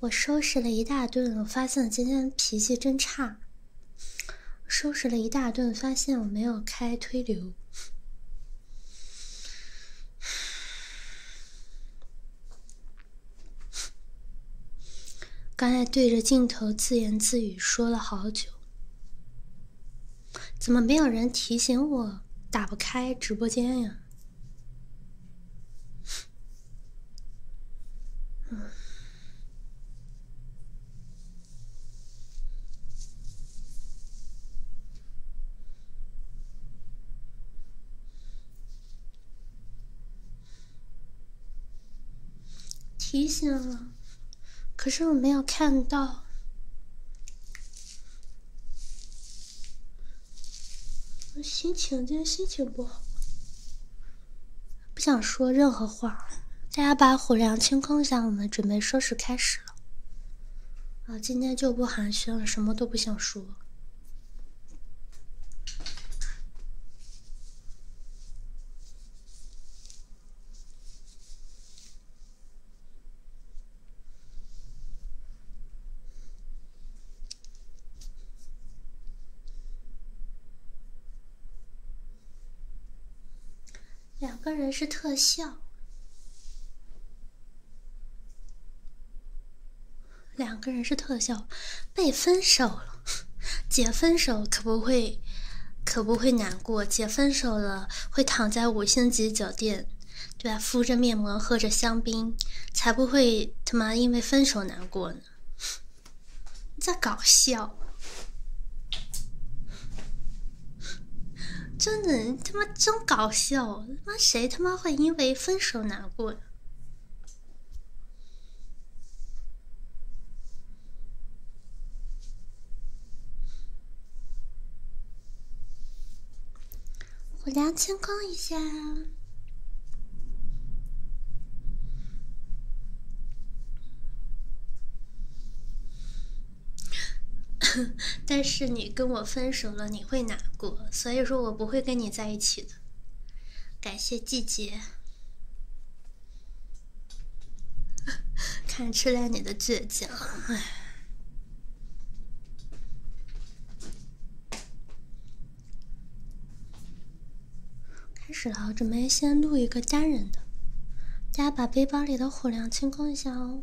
我收拾了一大顿，我发现今天脾气真差。收拾了一大顿，发现我没有开推流。刚才对着镜头自言自语说了好久。怎么没有人提醒我打不开直播间呀？提醒了。可是我没有看到，我心情今天心情不好，不想说任何话。大家把虎粮清空一下，我们准备收拾开始了。啊，今天就不寒暄了，什么都不想说。两个人是特效，两个人是特效，被分手了。姐 分手可不会。可不会难过，姐分手了会躺在五星级酒店，对吧？敷着面膜，喝着香槟，才不会他妈因为分手难过呢！你在搞笑？真的，他妈真搞笑！他妈谁他妈会因为分手难过我聊清空一下。但是你跟我分手了，你会难过，所以说我不会跟你在一起的。感谢季节，看吃了你的倔强。开始了，我准备先录一个单人的。大家把背包里的火粮清空一下哦。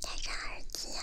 戴上耳机啊！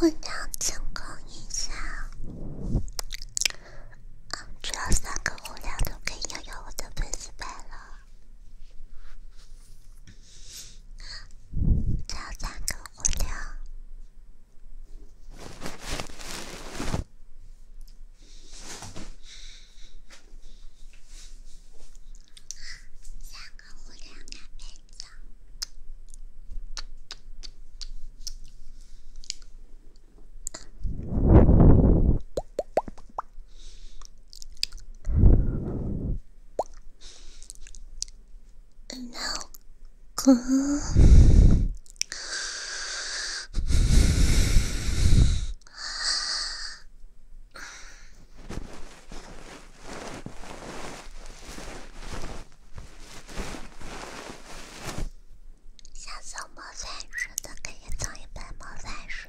互相进攻一下，嗯，只要三个互相都可以拥有我的粉丝牌了。三个火枪，三个火枪的兵长。想做魔法书的，可以送一本魔法书。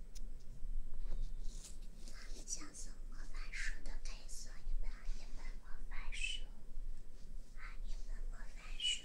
想送魔法树的，可以送一本一本魔法树，啊一本魔法树。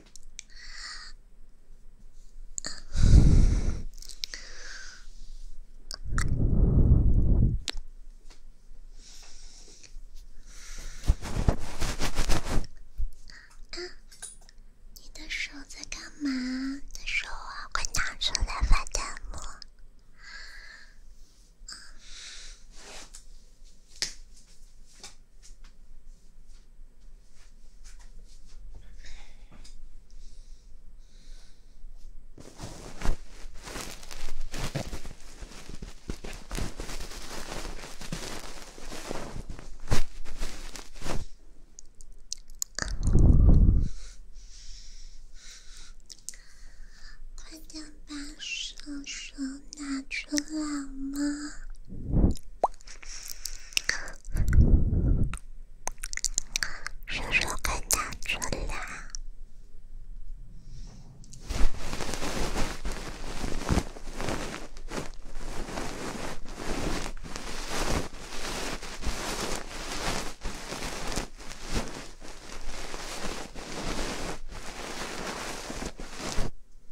啊！你的手在干嘛？的手啊，快拿出奶粉的沫。快点把手术拿出出来吗？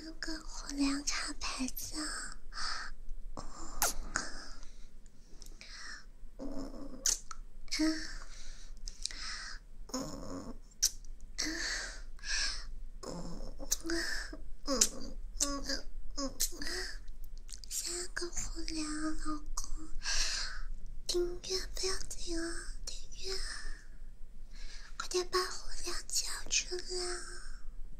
三个火凉看牌子，嗯嗯嗯嗯嗯嗯嗯嗯嗯嗯嗯，三个火凉老公，订阅不要停啊，订阅快点把火凉叫出来。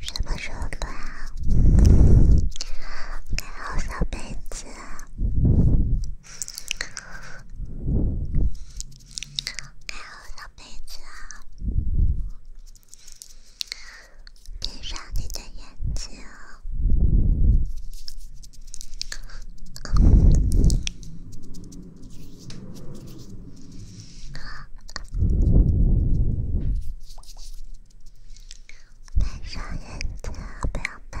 什么时候暖？盖好小被子。盖好小被子啊，闭上你的眼睛哦，戴上你的宝宝。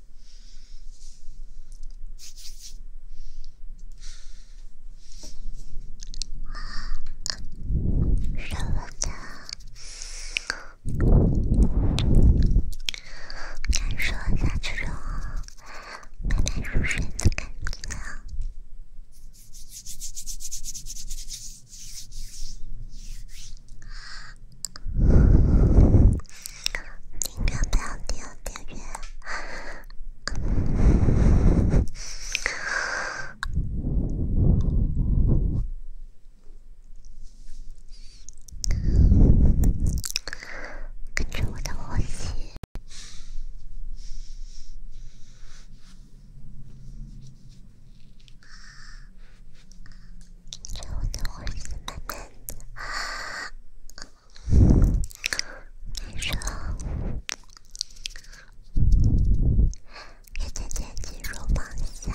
舍不得，感受那种慢慢入睡的感觉。你不要掉电源，跟着我的呼吸，跟着我的呼吸慢慢。难受，也渐渐进入梦乡。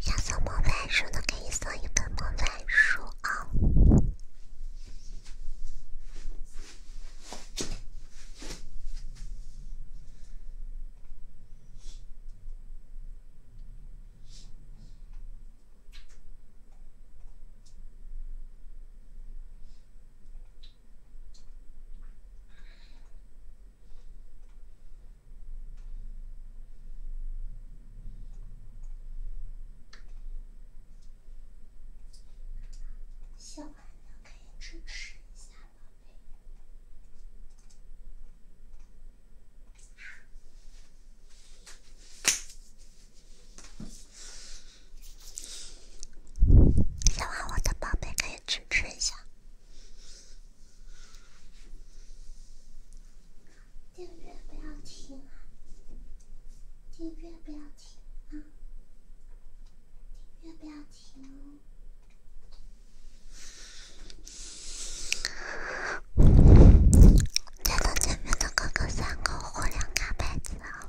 下次魔法书的可以送一本魔法书啊。喜欢的可以支持一下，宝贝。喜欢我的宝贝可以支持一下。订阅不要停啊！订阅不要停啊！订阅不要停哦！见到前面的哥哥三个，我两打辈子啊！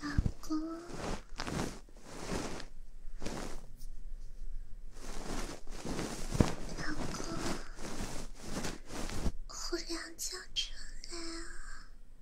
老公，老公，胡良叫出来啊！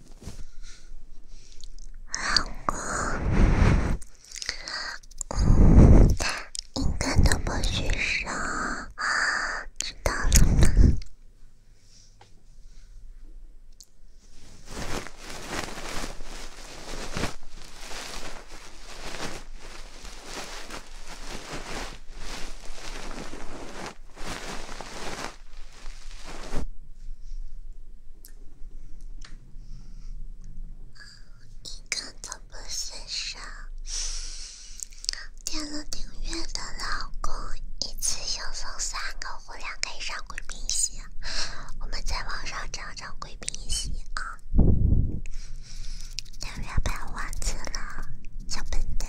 老公，应该都不许说，知道了吗？一个都不缺少。点了订阅的老公，一次性送三个，忽然可以上贵宾席。我们在网上找找贵宾席啊！订阅被忘记了，小笨蛋。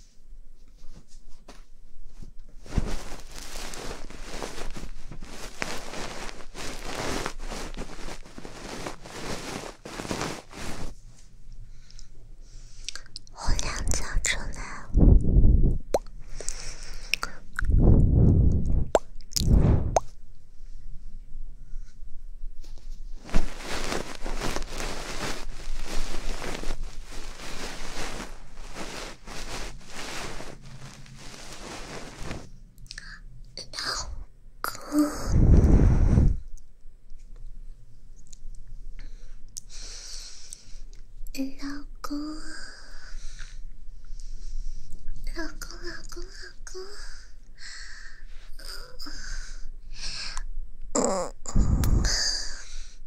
我两脚出来。老公，老公，老公，老公，老公，老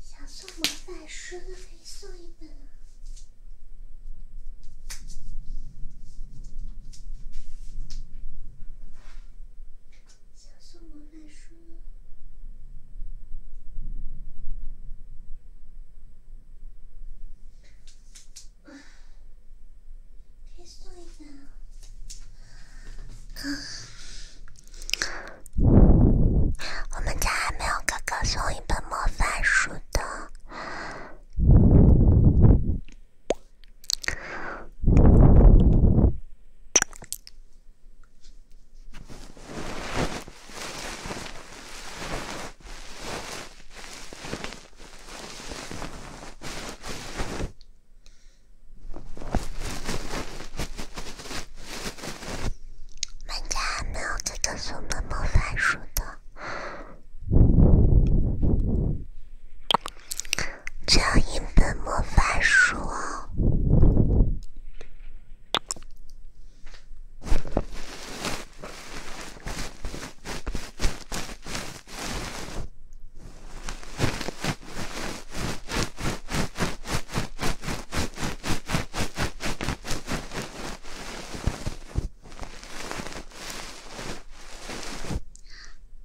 想送魔法书的可以送一本啊！想送魔法书。给送一下。啊，我们家还没有哥哥送一本魔法书的。买家没有给送魔法书的，只要一本魔法书。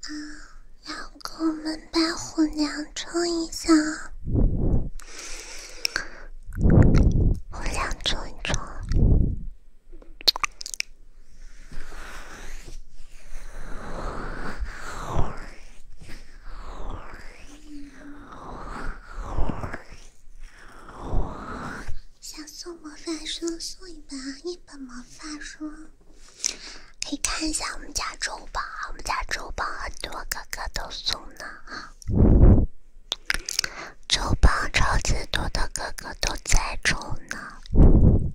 啊，老公，我们把火量冲一下，火量冲一冲。想送魔法书，送一本啊，一本魔法书。可以看一下我们家周榜啊，我们家周榜很多哥哥都送呢啊，周榜超级多的哥哥都在抽呢。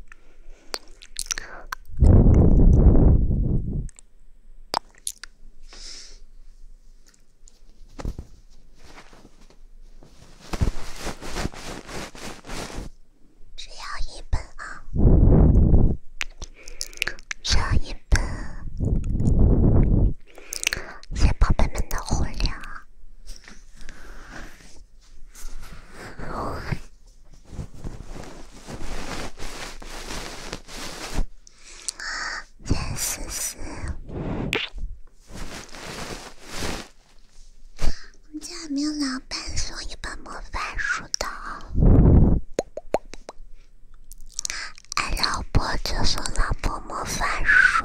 只要一本啊，只要一本，谢宝贝们的互动啊！真是是，我们家没有老板送一本魔法书的，爱老婆就送老婆魔法书。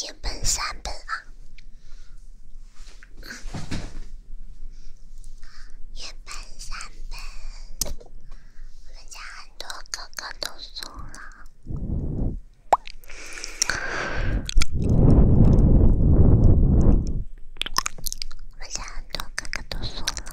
一本三本啊，一本三本，我家很多哥哥都送了。我想，都哥哥都说了。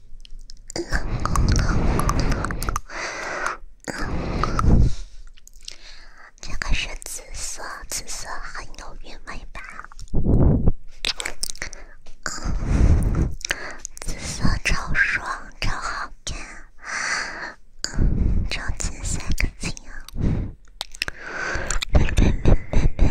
老公，老公，老公，这个是紫色，紫色很有韵味吧？紫色超爽，超好看，超 ins 风。别别别别别。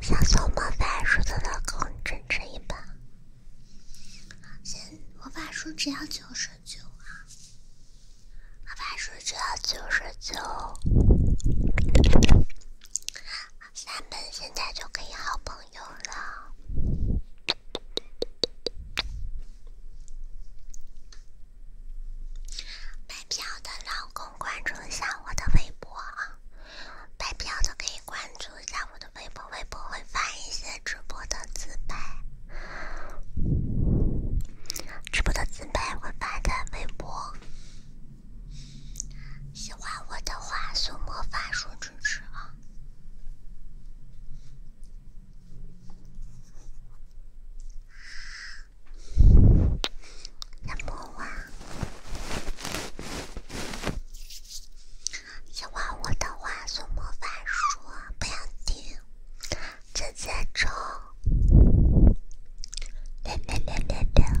小松魔法书的公主真一本，魔法书只要九十九啊，魔法书只要九十九。咱们现在就可以好朋友了。买票的老公关注一下我的微博啊！买票的可以关注一下我的微博，微博会发一些直播的自拍，直播的自拍会发在微博。喜欢我的话，送魔法书支持啊！小魔王，喜欢我的话，送魔法书，不要停，直接冲。来来来来来。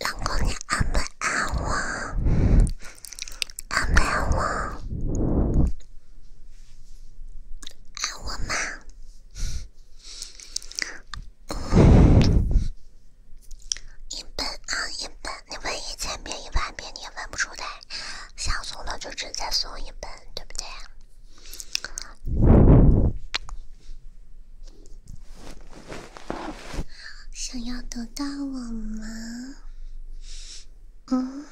老公，你爱不爱我？爱不爱我？爱我吗？一本啊，一本，你问一千遍、一万遍，你也问不出来。想送了就直接送一本，对不对？想要得到我吗？嗯？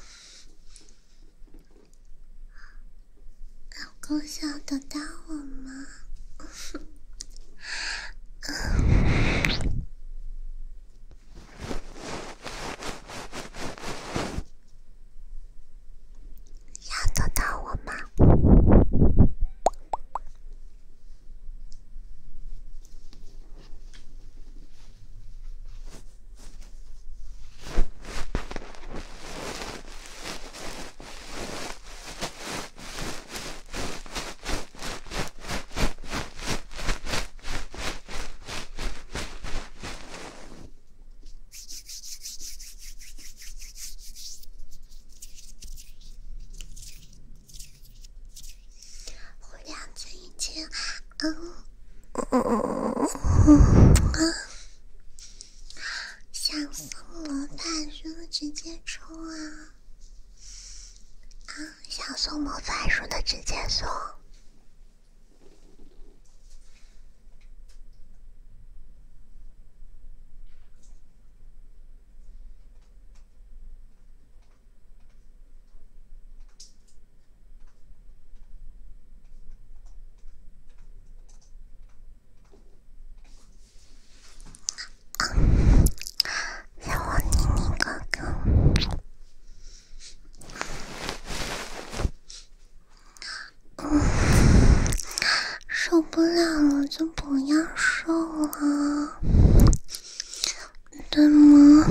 老公想得到我吗？要得到我吗？我两次已嗯想送魔大书直接冲啊！啊，想送魔法书的直接送。让我捏你哥哥，受不了了就不要受了，对吗？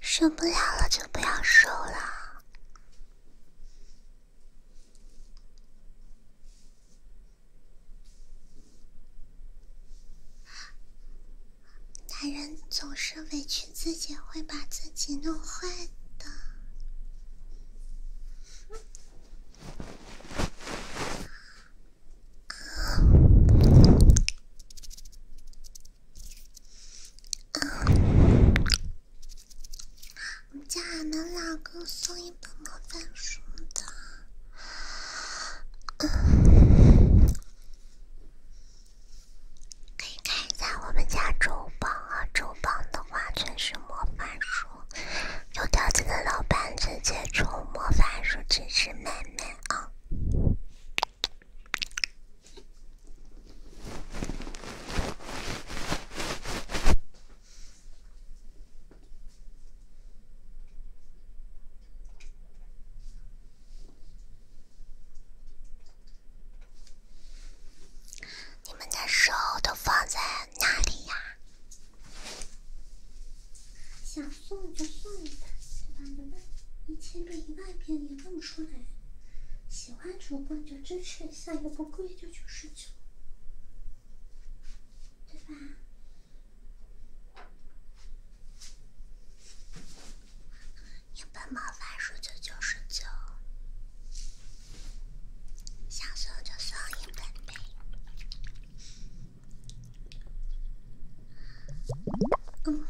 受不了了就不要受了。男人总是委屈自己，会把自己弄坏的。我家俺们老公送一本魔法书的，可以看一下。我们家周榜啊，周榜的话全是魔法书，有条件的老板直接抽魔法书支持妹妹啊。你们的手都放在哪里呀？送就送吧，一万遍，一千遍，一万遍，也送不出来。喜欢主播就支持一下，又不贵，就九十九，对吧？一本毛发书就九十九，想送就送一本呗。嗯。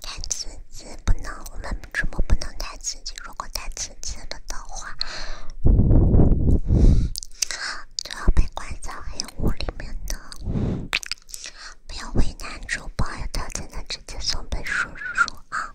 太刺激不能，我们直播不能太刺激。如果太刺激了的话，就要被关在黑屋里面的。不要为难主播，有条件的直接送本书书啊。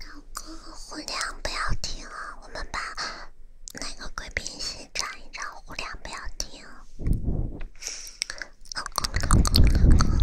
老公，胡亮不要停啊！我们把那个贵宾戏唱一唱，胡亮不要停。老公，老公，老公。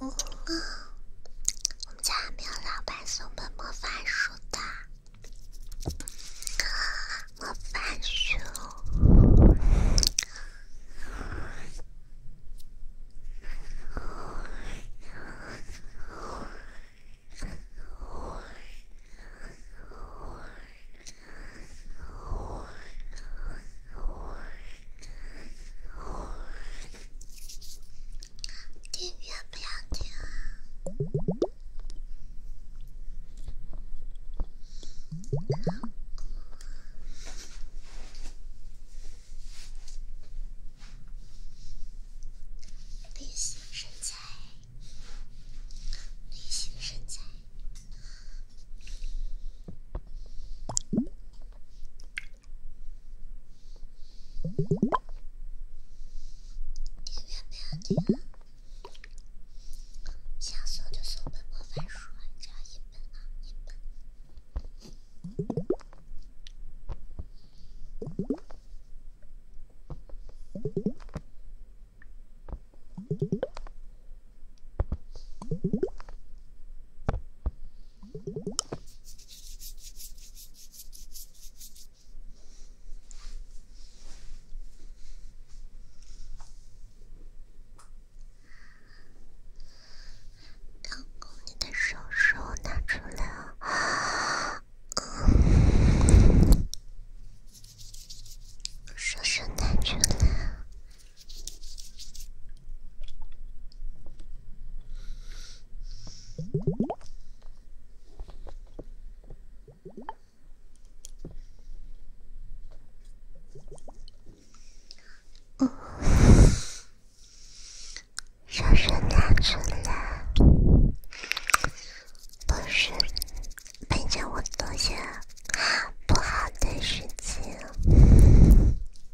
嗯，我们家还没有老板送本魔法书的。魔法书。电源不要停啊！女性身材，女性身材。订阅没有你啊，想收就收本魔法书，只要一本啊，一本。老公，你的手手拿出来啊！手手拿出来。嗯，手伸哪去了？不是，陪着我做些不好的事情。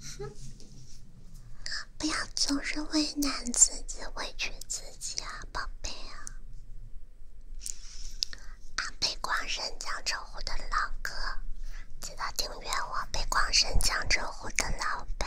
哼，不要总是为难自己、委屈自己啊，宝贝啊！阿北广深江浙沪的老哥，记得订阅我！北广深江浙沪的老板。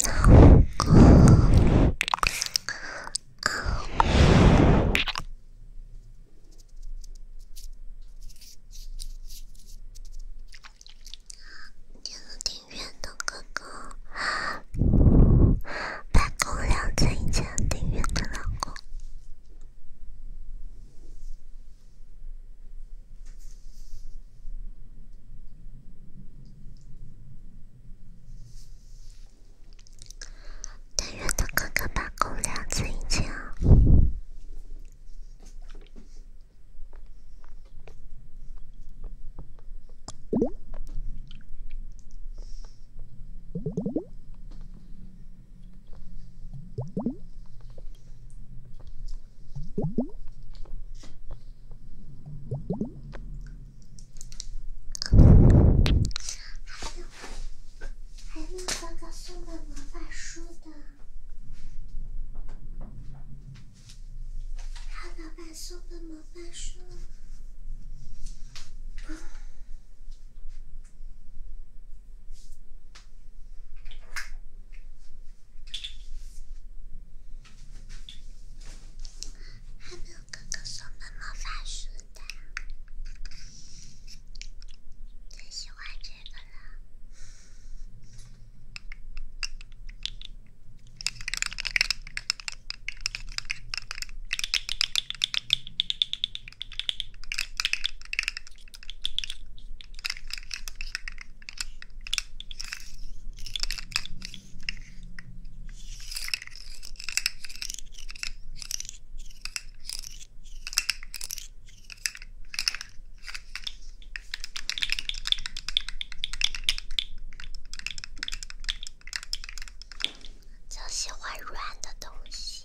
那个丁元的哥哥，白公亮在以前丁元的老公。但愿他哥哥把“狗”两字引见。还有，还有，老板送本魔法书的，还有老板送本魔法书。还没有哥哥送的魔法书的，最喜欢这个了。就喜欢软的东西。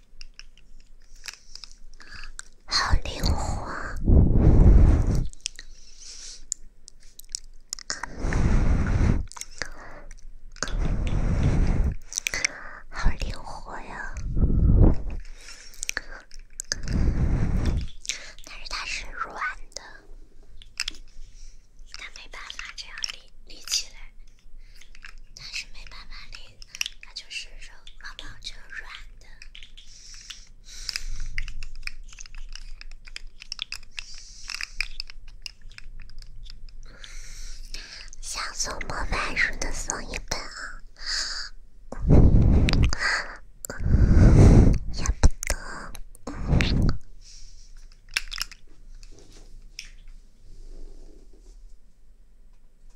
好灵活，好灵活呀！但是它是软的，它没办法这样立立起来，它是没办法立。那就是肉，毛毛就软的。想送魔法书的送一本啊，要不得。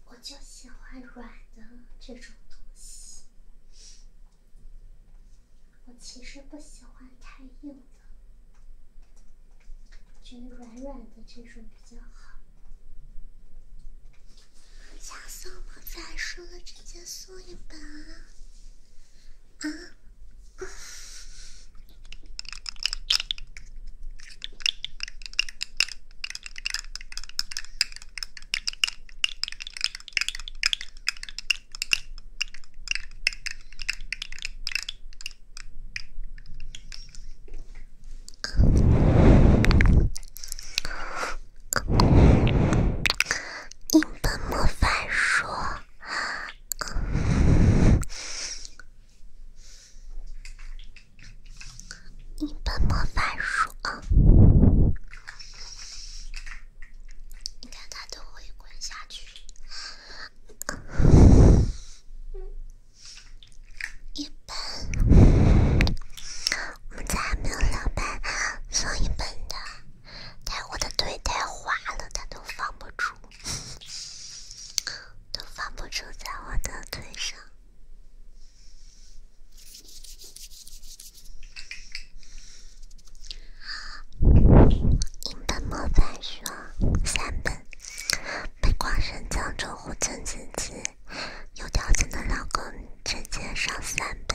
我就喜欢软的这种东西，我其实不喜欢太硬的，觉得软软的这种比较好。想送我一本书了，直接送一本啊？一本魔法书。一本魔法书啊，你看它都会滚下去。一本，我们家还没有两本，送一本的。但我的腿太滑了，它都放不住，都放不住在我的腿上。一本莫凡说：“三本，被光神将称呼自己，有条件的老公直接上三本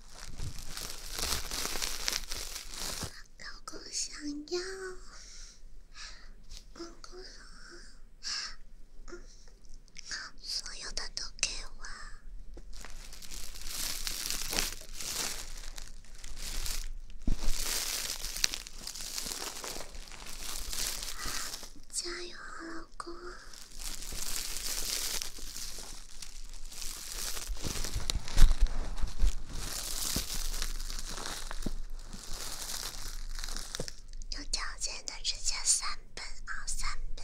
老公想要，老公所有的都给我，加油老公！有条件的直接三本啊，三本！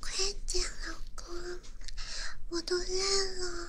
快点，老公，我都累了。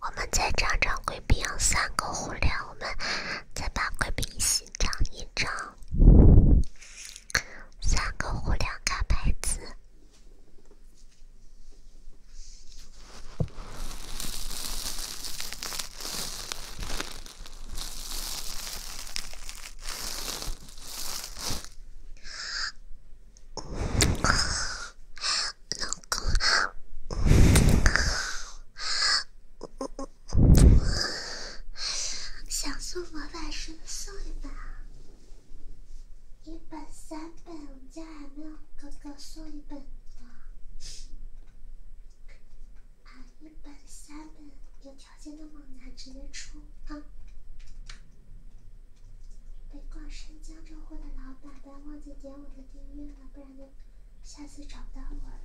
我们再长长贵宾，三个胡粮，我们再把贵宾洗长一长，三个胡粮，卡牌子。想送魔法师送一本，一本三本，我家还没有哥哥送一本啊，一本三本，有条件的猛男直接冲！别逛新疆这货的老板，别忘记点我的。订阅了，不然就下次找不到我了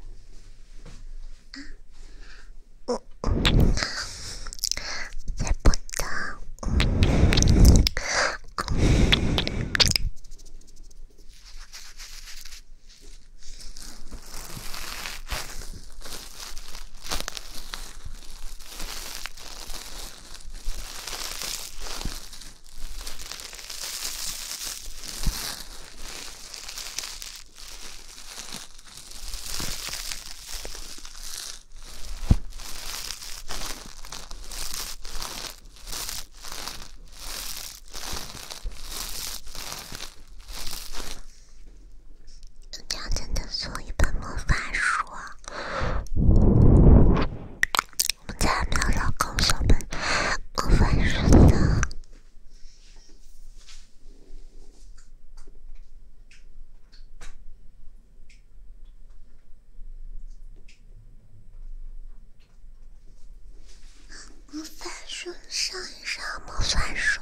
我将真的做一本魔法书。我们家没有老公，小笨。魔方数的。魔法书。上一上魔方数。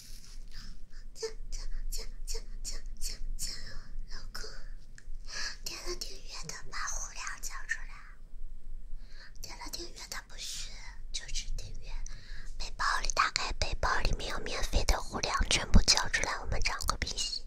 叫叫叫叫叫叫叫！老公，点了订阅的把胡粮交出来。点了订阅的不是，就是订阅。背包里打开，背包里面有免费的胡粮，全部交出来，我们涨个皮皮。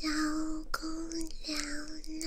交公粮啊！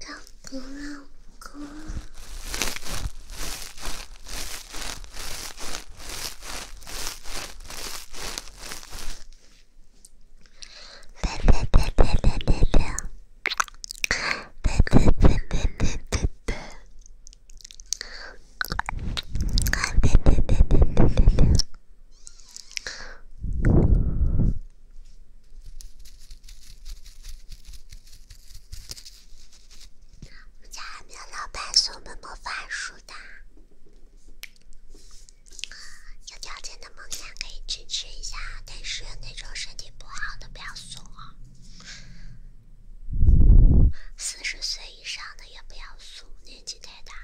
老公，老公，别别别别别别别，别别别别别别别，别别别别别别别。我家还没有老板送本魔法书的，有条件的猛男可以支持一下，但是那种身体不好的不要送啊。四十岁以上的也不要送，年纪太大了。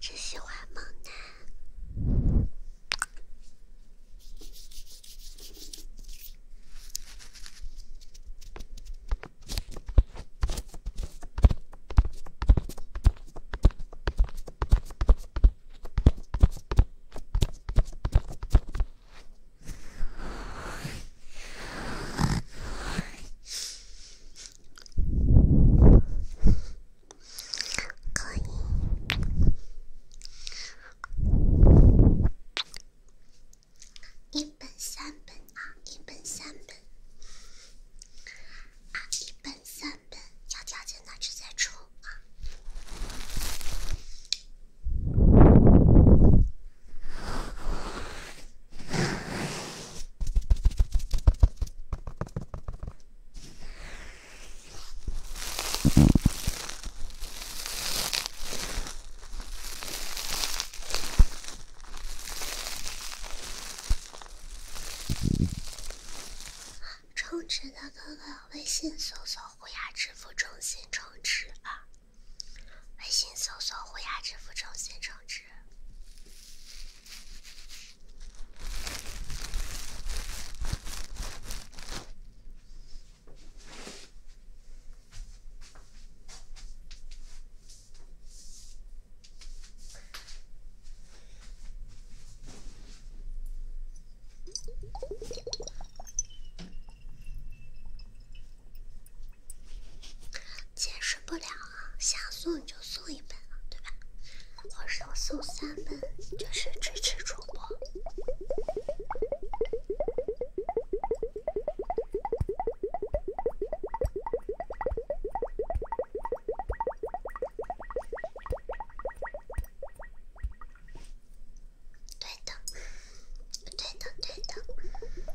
只喜欢猛男。可以，一本三本啊，一本三本啊，一本三本，有条件呢直接抽啊。充值的哥哥，微信搜索“虎牙支付中心”充值啊！微信搜索“虎牙支付中心”充值。解释不了啊，像素。就送一本了，对吧？我是送三本，就是支持主播。对的，对的，对的。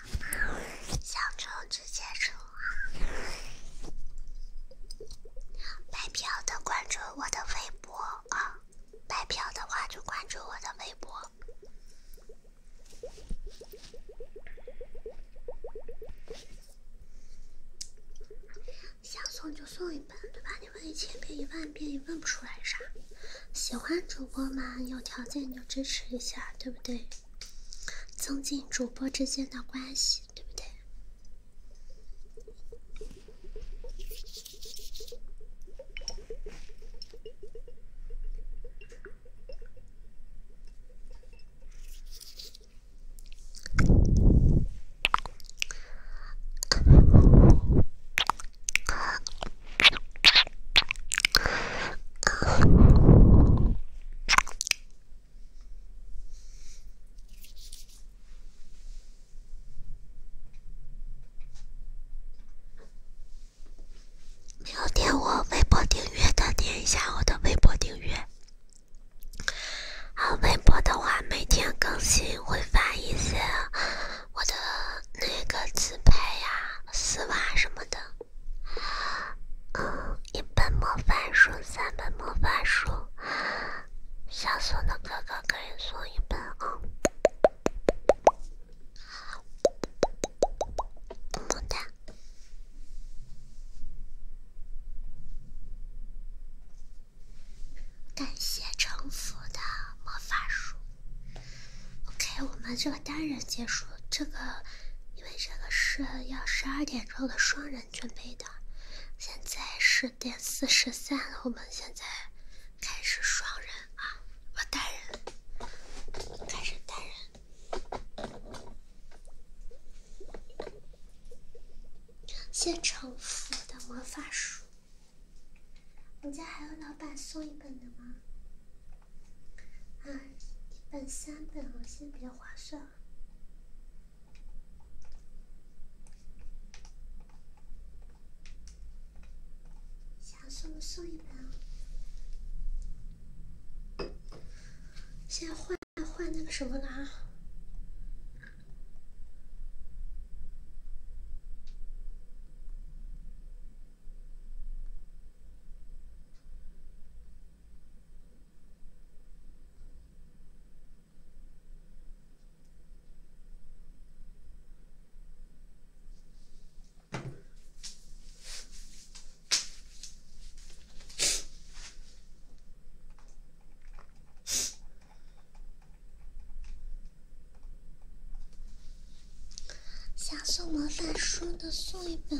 想充直接充啊！白嫖的关注我的微博啊，白嫖的话就关注我的微博。想送就送一本，对吧？你问一千遍一万遍也问不出来啥。喜欢主播嘛？有条件就支持一下，对不对？增进主播之间的关系，对不对？有点我微博订阅的，点一下我的微博订阅。微博的话，每天更新，会发一些我的那个自拍呀、丝袜什么的。嗯，一本魔法书，三本魔法书。小松的哥哥可以送一本哦。好的。感谢城府的魔法书。OK，我们这个单人结束。这个，因为这个是要十二点。的双人准备的，现在十点四十三，我们现在开始双人啊，我单人，开始单人，谢城府的魔法书，我们家还有老板送一本的吗？啊，一本三本我现在比较划算。想送送一本，先换换那个什么了啊？想送魔法书的，送一本。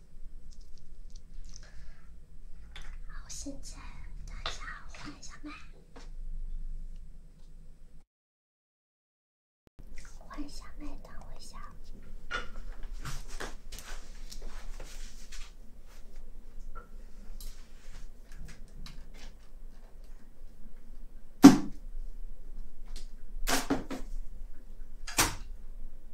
好，现在等一下，换一下麦，换一下麦，等我一下。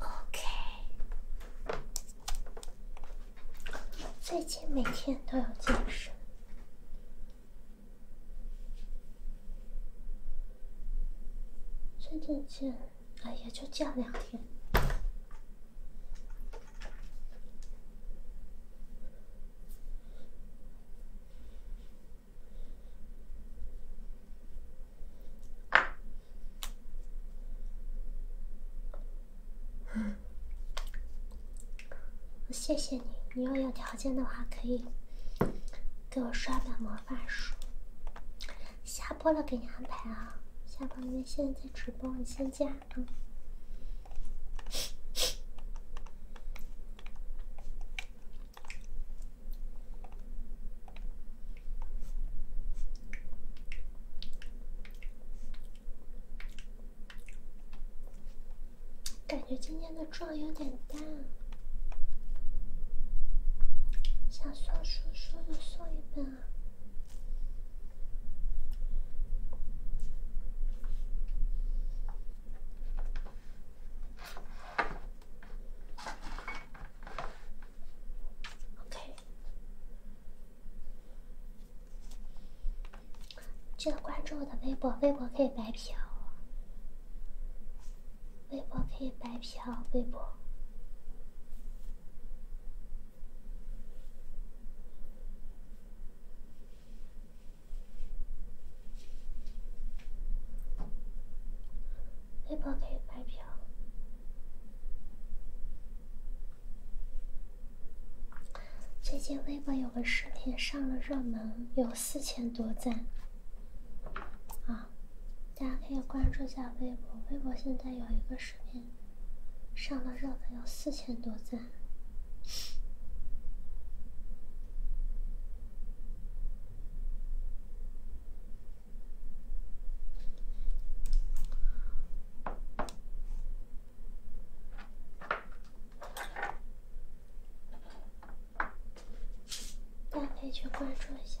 o k 最近每天都要健身。最近健，哎呀，就健两天。嗯，谢谢你。你要有条件的话，可以给我刷本魔法书。下播了给你安排啊！下播，因为现在在直播，你先加。感觉今天的妆有点淡，想送叔叔的送一本。OK，记得关注我的微博，微博可以白嫖，微博可以白嫖，微博。微博可以白嫖。最近微博有个视频上了热门，有四千多赞。啊，大家可以关注一下微博。微博现在有一个视频上了热门，有四千多赞。大家可以去关注一下。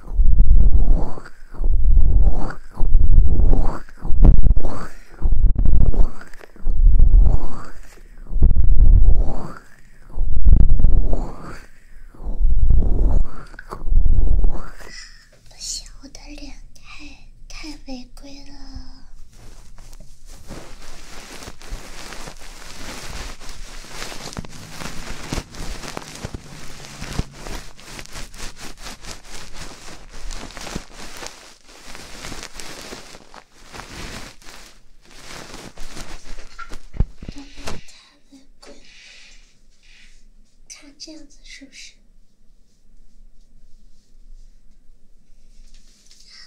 不行，我的脸太太违规了。慢慢它会滚，看这样子是不是？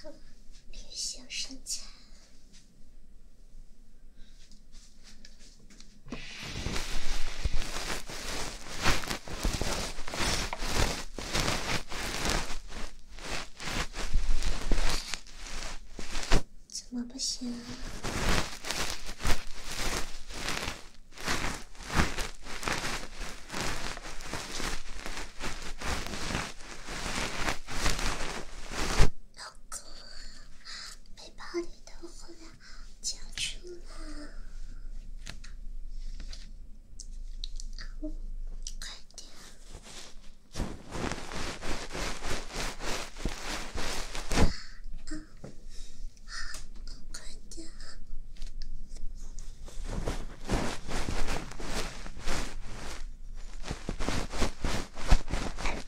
好，理想身材。怎么不行啊？老公，啊！背包里的火。叫出来！啊，快点！啊啊啊，快点！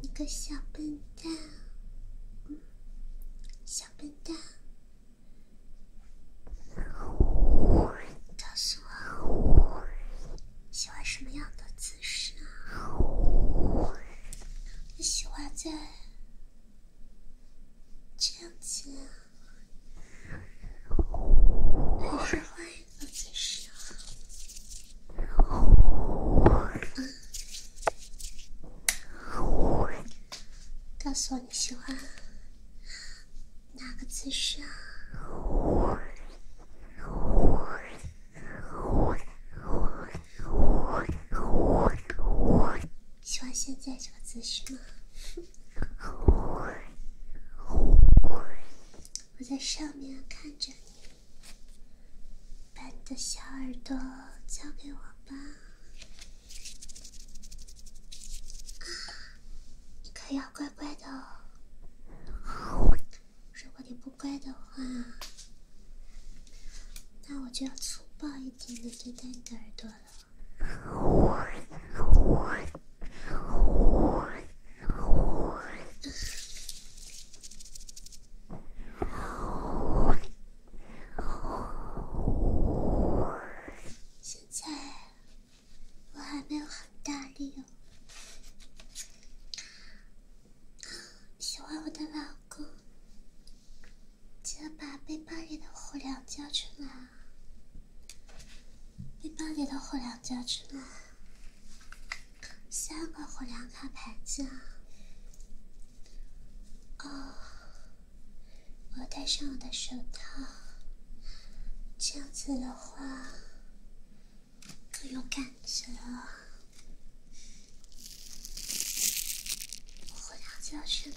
你个小笨蛋，小笨蛋，告诉我喜欢什么样的姿势啊？你喜欢在这样子啊？还是换一个姿势？告诉我你喜欢哪个姿势？喜欢现在这个姿势吗？我在上面看着你。把你的小耳朵交给我吧，啊，你可要乖乖的哦。如果你不乖的话，那我就要粗暴一点的对待你的耳朵了。现在我还没有很大力哦。喜欢我的老公。记得把背包里的火粮交出来啊！背包里的火粮交出来。三个火粮卡牌子啊。哦，我戴上我的手套，这样子的话更有感觉。我回到教室了。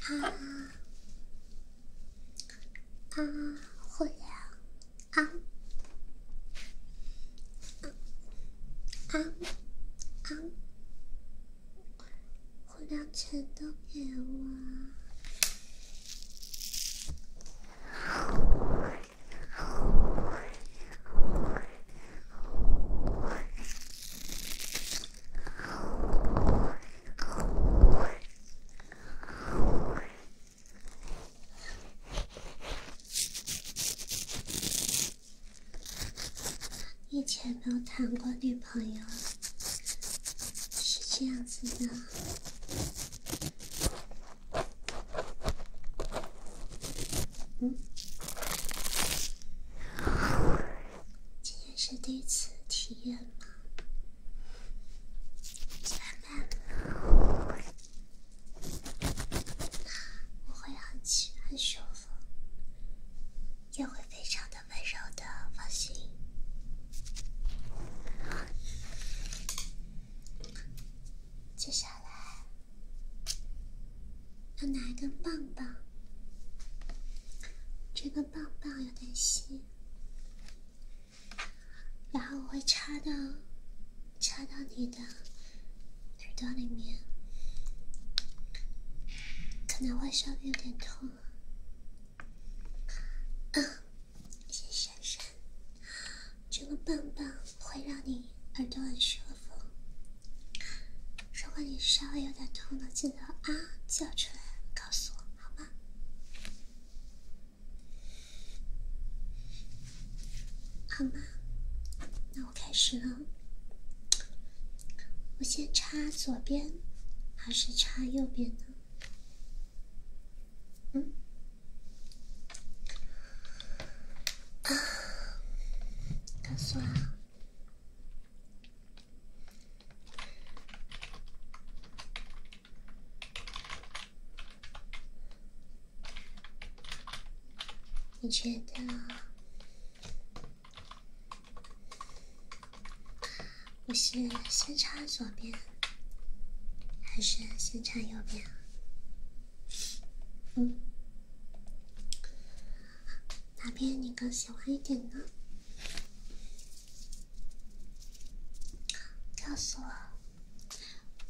啊啊！火药啊啊啊啊！火药全都给我！以前没有谈过女朋友，是这样子的。嗯，今天是第一次体验吗？在吗？我会很气，很凶的，也会非常的温柔的，放心。接下来要拿一根棒棒，这个棒棒有点细。然后我会插到，插到你的耳朵里面，可能会稍微有点痛嗯，谢谢珊珊，这个棒棒会让你耳朵很舒服。如果你稍微有点痛了，记得啊叫出来告诉我，好吗？好嘛，好嘛，那我开始了。我先插左边还是插右边呢？嗯？告诉我。你觉得我是先插左边还是先插右边？嗯，哪边你更喜欢一点呢？告诉我，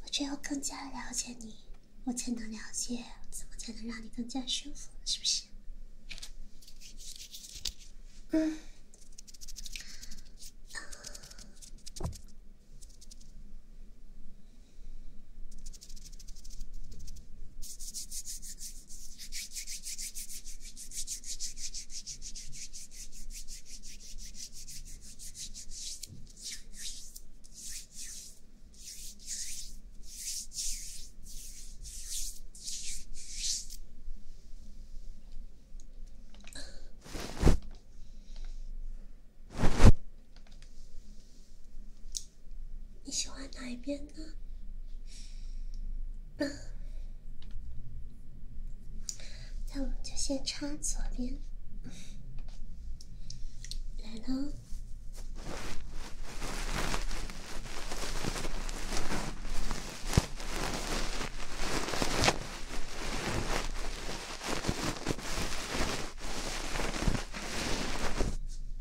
我只有更加了解你，我才能了解怎么才能让你更加舒服，是不是？嗯。你喜欢哪一边呢？那我们就先插左边，来喽。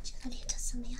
这个连着怎么样？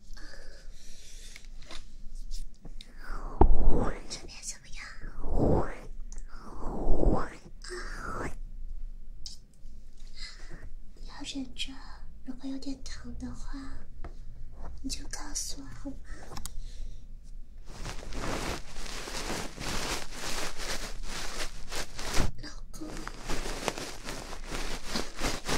这边怎么样？你要忍着，如果有点疼的话，你就告诉我好吗，老公。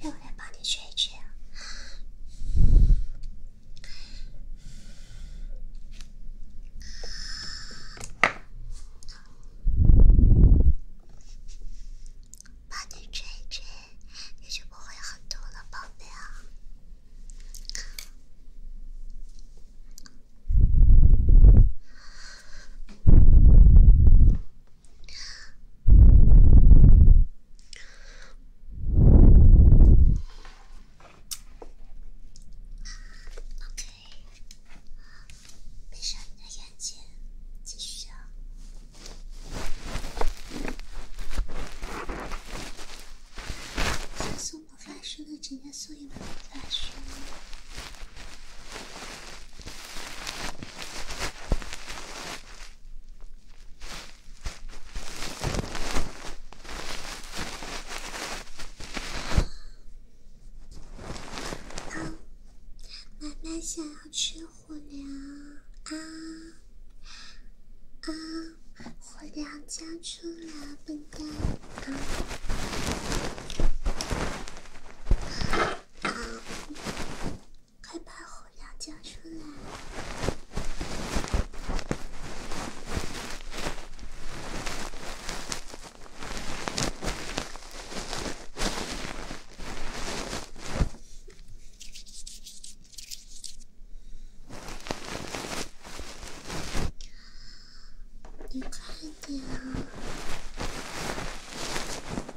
让我来帮你吹吹，帮你吹吹，你就不会很痛了，宝贝啊。OK，闭上你的眼睛，继续。想送我发圈的，直接送一本发圈。啊，妈妈想要吃火粮啊啊，火粮交出来，笨蛋。啊快把火药交出来！你快点啊！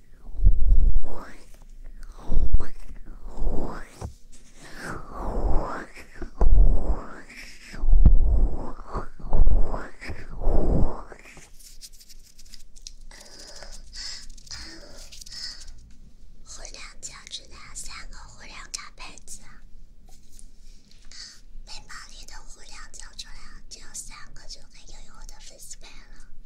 胡亮交出来三个，胡亮盖被子。背包里的胡亮交出来，只有三个就可以拥有我的粉丝牌了。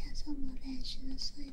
小丑魔战士的。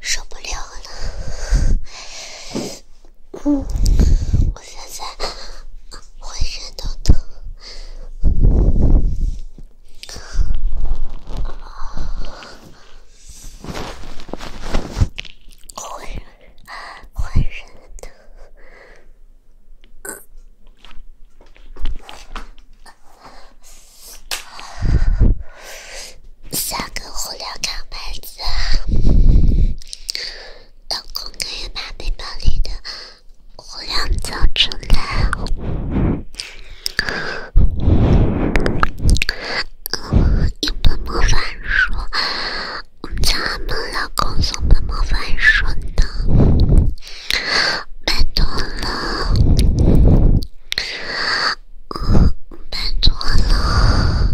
受不了了，嗯，我现在浑身都疼。坏人出来。嗯，一本魔法书，咱们老公送本魔法书呢，拜托了，拜托了，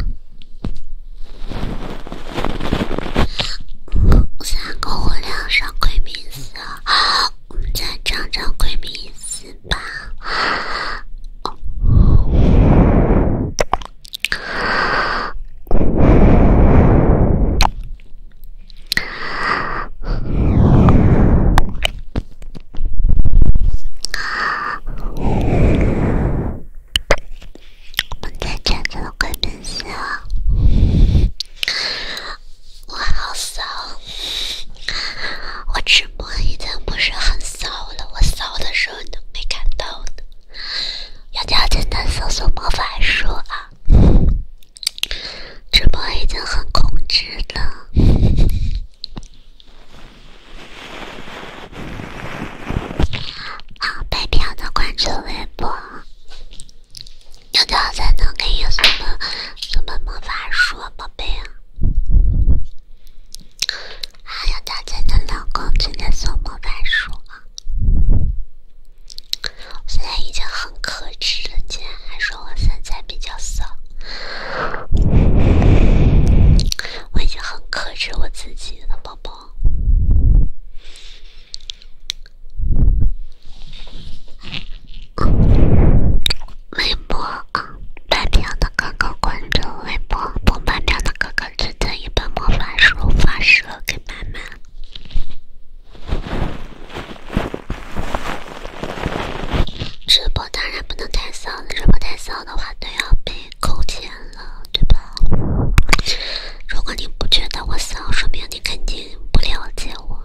三个无聊上鬼名字。我们再找找闺蜜丝吧。啊，我们再找找闺蜜丝哦。我好骚！我直播已经不是很骚了，我骚的时候你都没看到的。要教简单搜索魔法术啊！直播已经很控制了。啊，白嫖的关注微博。要怎样才能给你送本送本魔法书，啊，宝贝啊？还要怎样的老公才能送魔法书啊？我现在已经很克制了，竟然还说我身材比较骚，我已经很克制我自己了，宝宝。微博啊，白嫖的哥哥关注微博，不白嫖的哥哥直接一本魔法书发射给妈妈。直播当然不能太骚，了，直播太骚的话都要被扣钱了，对吧？如果你不觉得我骚，说明你肯定不了解我。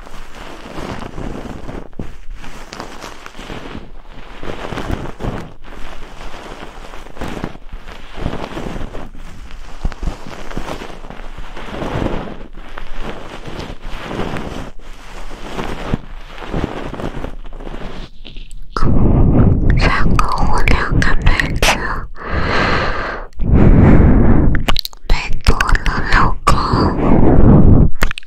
三个红，两个妹子，拜托了，老公。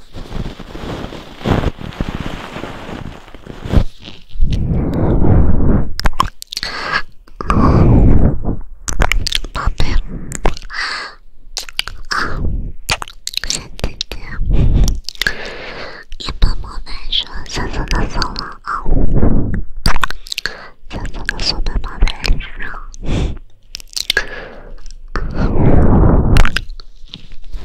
宝贝，啊，再见。一般宝贝说“早早早”了啊，“早早早”的时候，宝贝。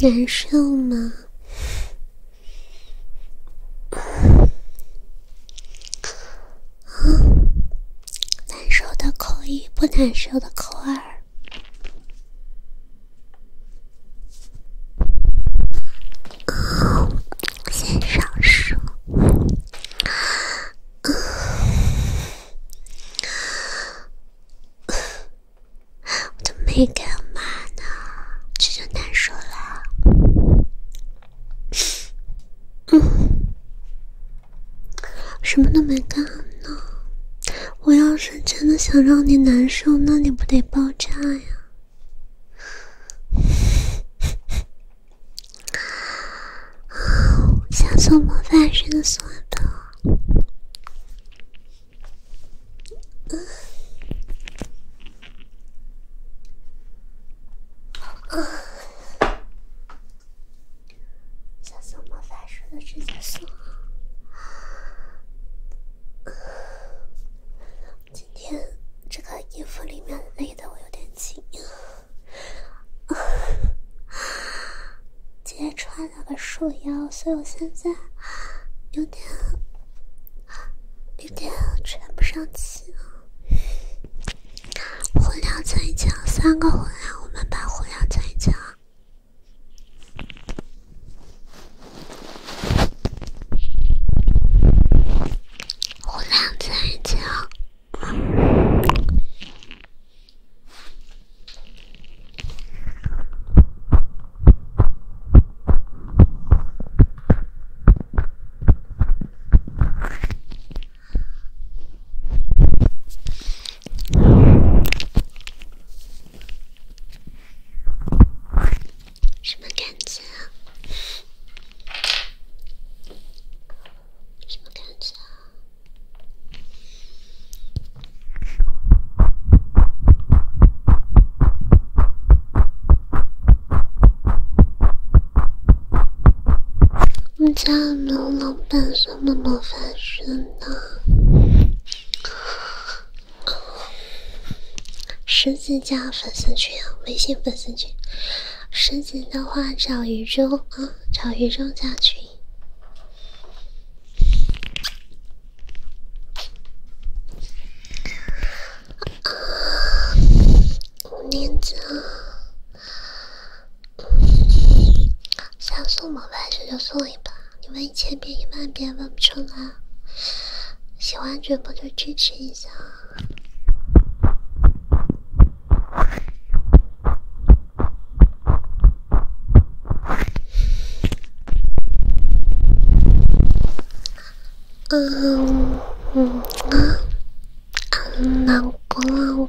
难受吗？啊，难受的扣一，不难受的扣二。啊，先上手。我都没干嘛呢，这就难受了。嗯。什么都没干呢！我要是真的想让你难受，那你不得爆炸呀？想做魔法绳索的。想送魔法树的直接送。今天这个衣服里面勒得我有点紧，今天穿了个束腰，所以我现在有点有点喘不上气互相睡觉，三个火相，我们把火相睡觉，互相睡觉。什么感觉啊？什么感觉啊？我们家没有老板说。怎么发生呢？十几家粉丝群，微信粉丝群，十几的话找雨中啊，找雨中加群。五年级。想送么？还是就送一把，你问一千遍一万遍问不出来。喜欢主播就支持一下啊！嗯，嗯，嗯，老公。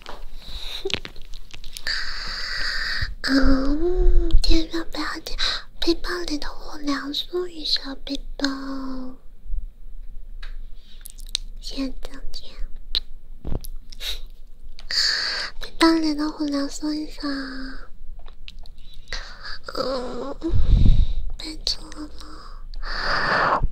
嗯，天亮不要紧，背包里的火苗送一下背包。现在张姐，背包里的火苗送一下。嗯，被堵了。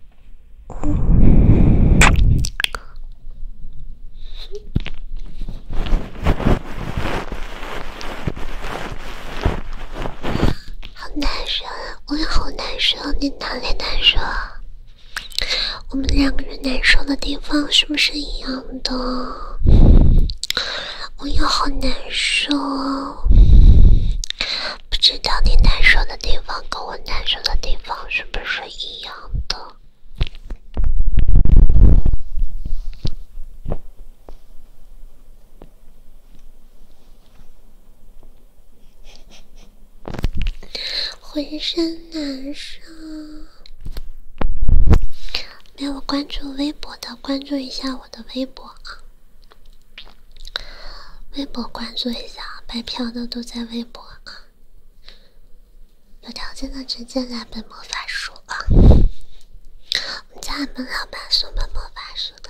好难受，我也好难受。你哪里难受？我们两个人难受的地方是不是一样的？我也好难受。不知道你难受的地方跟我难受的地方是不是一样？真的浑身难受。没有关注微博的，关注一下我的微博啊！微博关注一下，白嫖的都在微博啊！有条件的直接来本魔法书啊！我们家门老板送本魔法书的。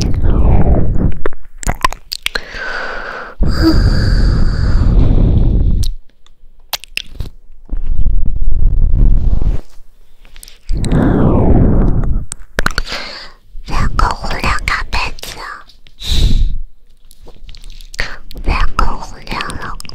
两个红脸盖被子，两个无聊老公。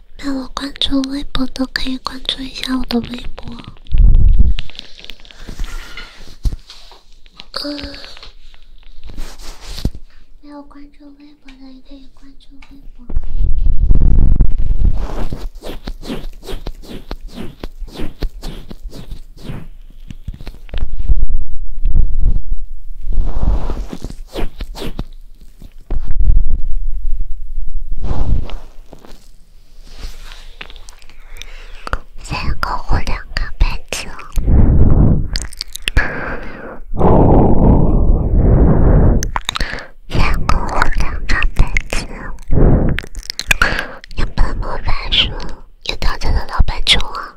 没有关注微博的可以关注一下我的微博，嗯，没有关注微博的也可以关注微博。三个或两个白球，两个或两张白纸，有本魔法书，有道家的老板书啊。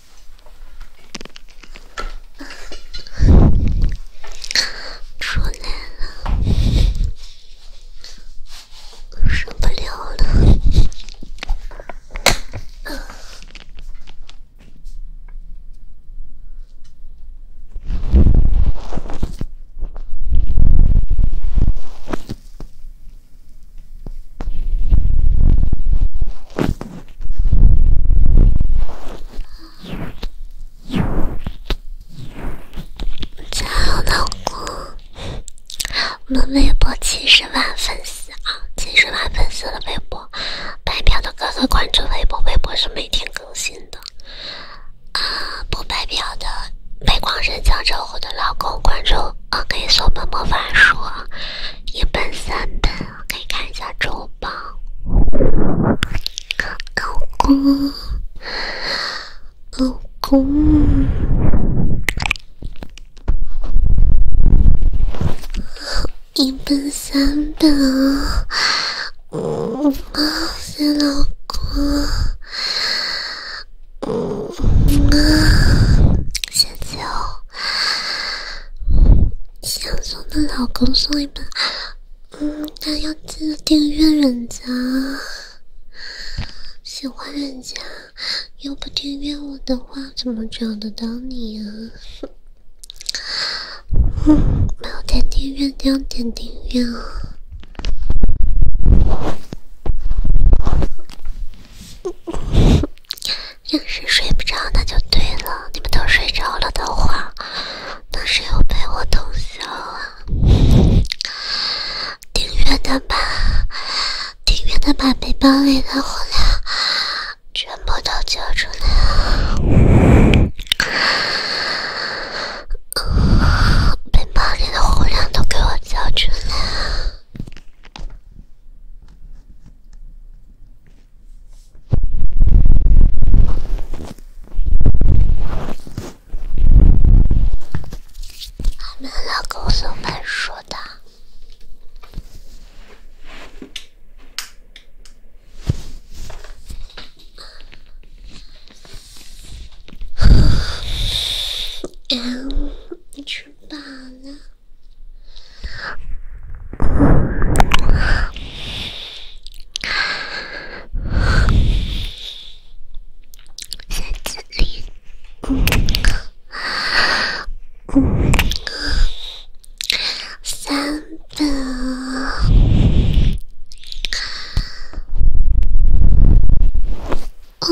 出来了，受不了了。亲爱老公，我们微博七十万粉丝啊，七十万粉丝的微博，白嫖的哥哥关注微博，微博是每天更新的。啊，不白嫖的，被光深江招呼的老公关注，啊，可以送本魔法书，一本三本。可以看一下周榜。老公，老公，一本三本啊，谢谢老公，嗯，谢谢。哦。想送的老公送一本，嗯，但要记得订阅人家，喜欢人家，又不订阅我的话，怎么找得到你呀？嗯，没有点订阅，要点订阅啊！硬是睡不着那就对了。你们都睡着了的话，那谁又陪我通宵啊！订阅的吧，订阅的把背包里的火量全部都交出来啊！背包里的火量都给我交出来啊！你们老公送本说的，嗯，吃饱了。三字连，嗯，嗯，三分，哦。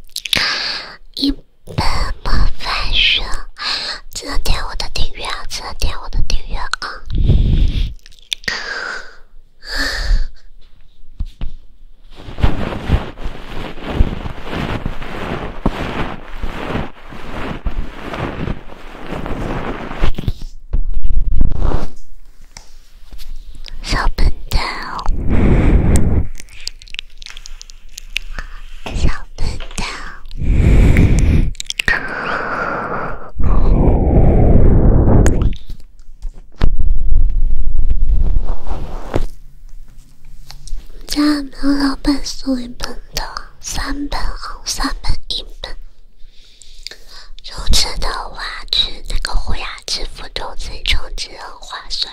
一本莫凡书，记得点我的订阅啊！记得点我的订阅啊！小笨蛋。三本套。我们家门老板送一本的，三本啊，三本一本。充值的话，去那个虎牙支付中心充值很划算。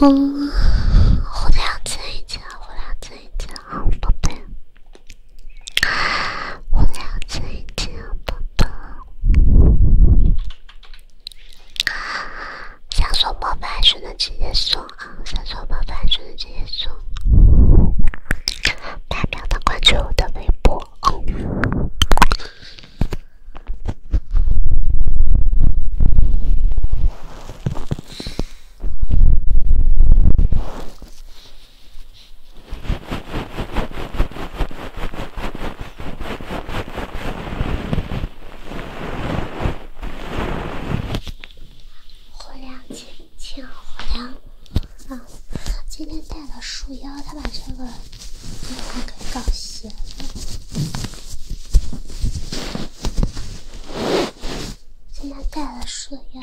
老公，我俩亲一亲，我俩亲一亲，好宝贝，我俩亲一亲，宝贝。想送宝贝，就能直接送啊，想说宝贝，就能直接说。大快点关注我的微博！火亮晶晶，火亮啊！今天带了束腰，他把这个衣服给搞斜了。今天带了束腰，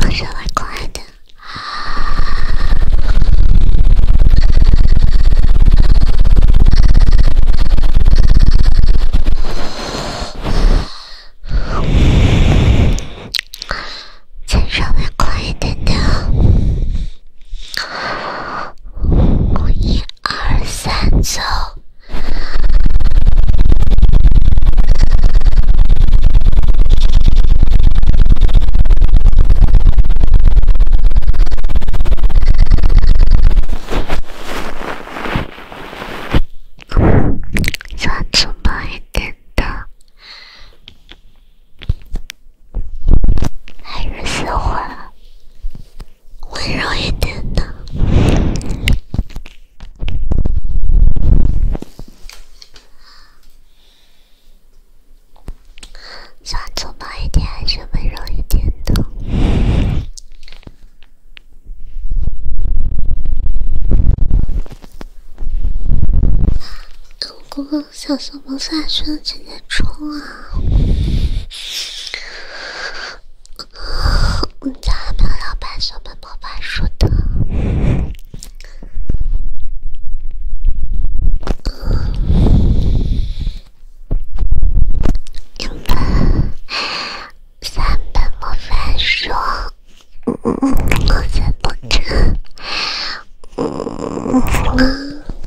再稍微快一点。再稍微快一点点。一、二、三，走！再粗暴一点的。还是喜欢温柔一点的，喜欢粗暴一点还是温柔一点的？老公，想说。我们三直接冲啊！我们家老板小白小法书的，两本三本魔法书，工资不嗯。嗯。嗯。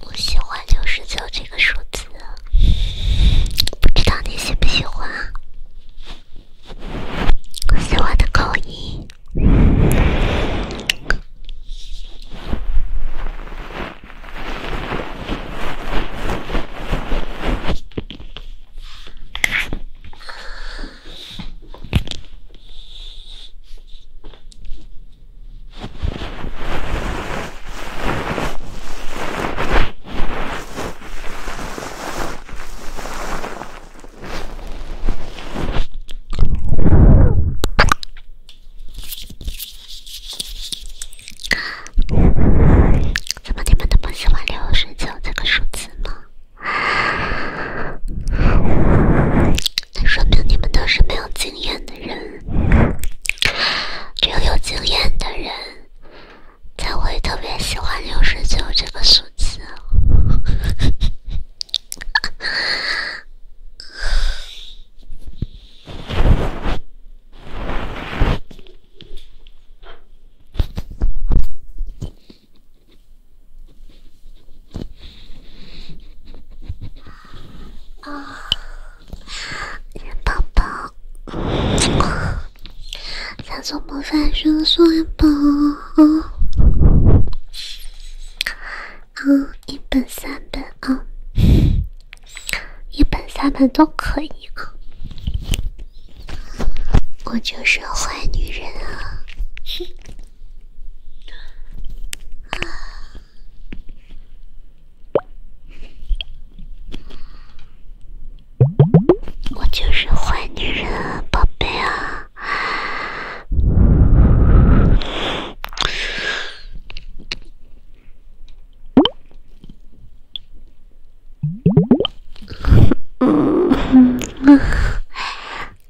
我喜欢六十九这个数字，不知道你喜不喜欢啊？喜欢的口音。怎么你们都不喜欢聊睡觉这个数字呢？那说明你们都是没有经验的人。只有有经验的人才会特别喜欢六十九这个数字。啊。元宝宝，咱做模范学生吧，嗯，嗯，一本三本啊，一本三本都可以啊，我就是坏女人啊。我就是坏女人，宝贝啊！嗯嗯嗯，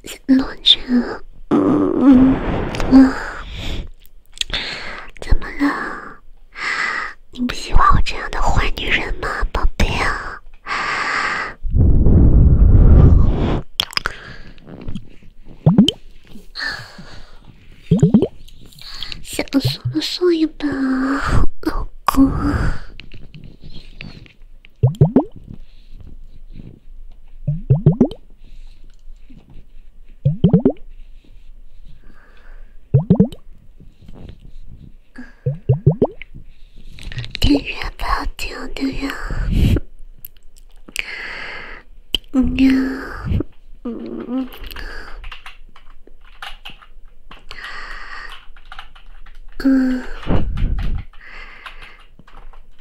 怎么了，姐？怎么了？你不喜欢我这样的坏女人吗，宝贝啊？想说说一把老公。订阅吧，订阅。嗯呀，嗯嗯，嗯，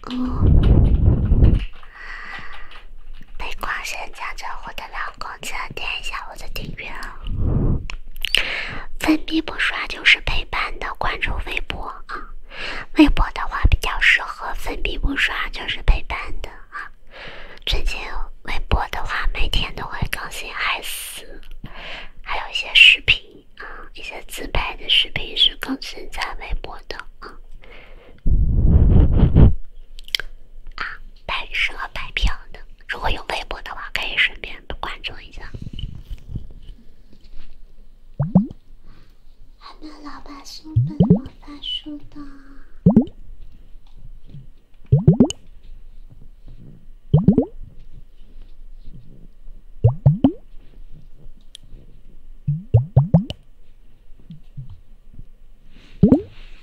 哦。被光线家射我的老公，得点一下我的订阅哦。粉笔不刷就是陪伴的，关注微博啊。微博的话比较适合粉笔不刷就是陪伴的啊。最近微博的话每天都会更新爱死，还有一些视频啊，一些自拍的视频是更新在微博的啊。啊，拍蛇拍票的，如果有微博的话，可以顺便关注一下。还有老板送本魔法书的。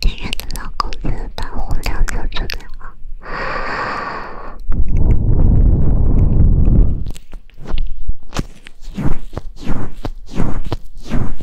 亲爱的老公，先把火量调最大。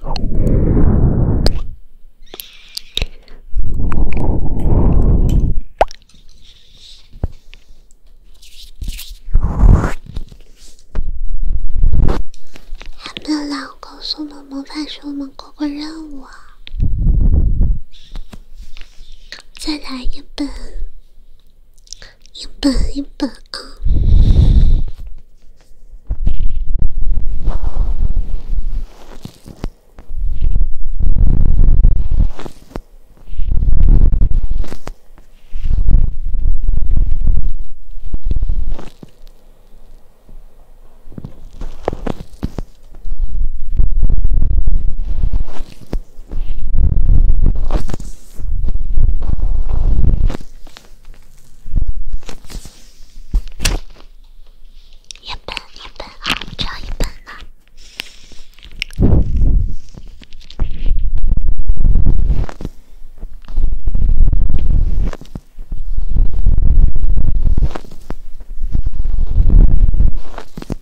俺们老公送的魔法书，我们过过任务。再来一本，一本一本啊！一本一本啊，只要一本呢。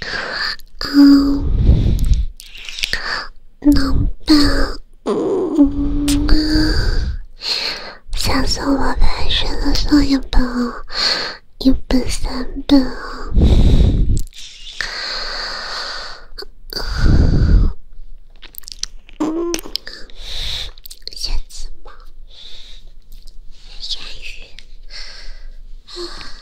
啊，能吧？嗯嗯，下次我拍十本，送一本，一本三本啊。嗯，下次吗？言语啊。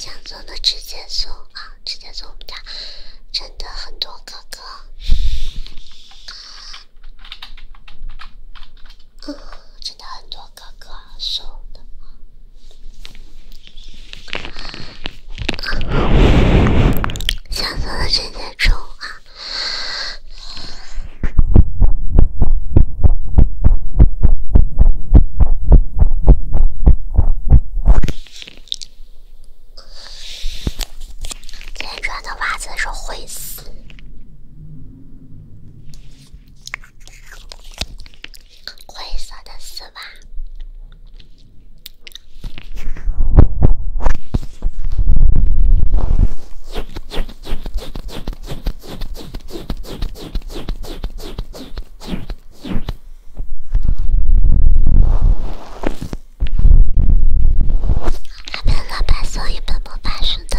想送的直接送啊，直接送我们家，真的很多哥哥，真的很多哥哥送的。想做的这天中午啊，今天穿的袜子是灰色，灰色的丝袜。还没拿白色一本魔法书的。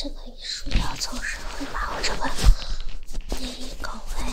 这个一束要总是会把我这个年龄搞歪。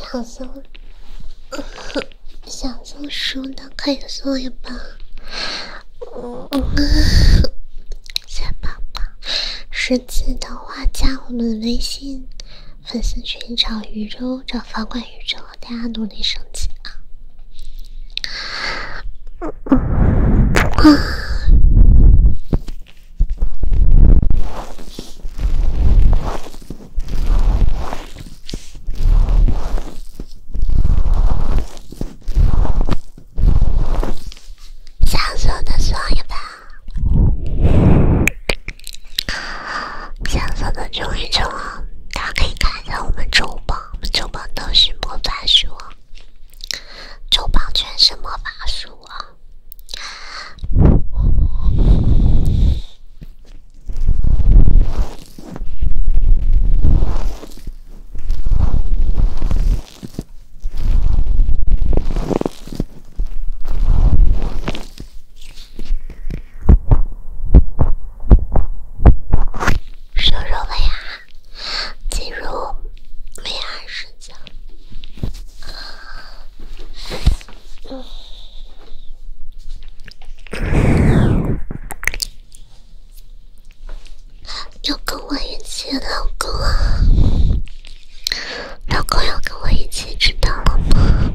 想送，想送书的可以送一把小宝宝。实际的话，加我们微信粉丝群，找宇宙，找房管宇宙。大家努力升级啊！啊。金色的双一百，金色的就一九啊！大家可以看一下我们周五榜。周榜都是魔法书周榜全是魔法书啊。收说 VR，进入 VR 视角。嗯，要跟我一起，老公，老公要跟我一起，知道了吗？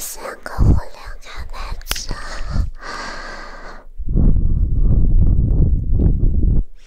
三个火烈鸟拍照。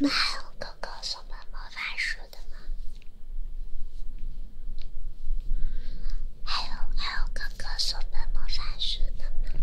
妈我哥哥，送的魔法书。的吗？还有还有，哥哥送的魔法书的吗？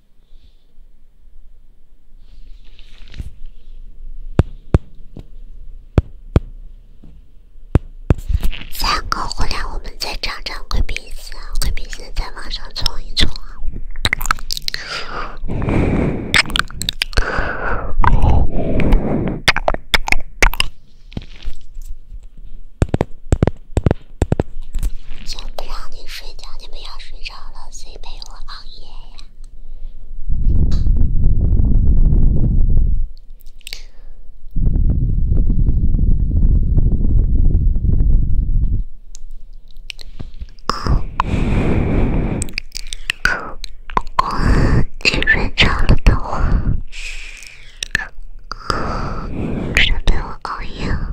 三个，回来我们再长长贵宾线，贵宾线再往上冲一冲。就不让你睡觉，你们要睡着了，谁陪我熬夜呀？如果你睡着了的话，谁陪我熬夜？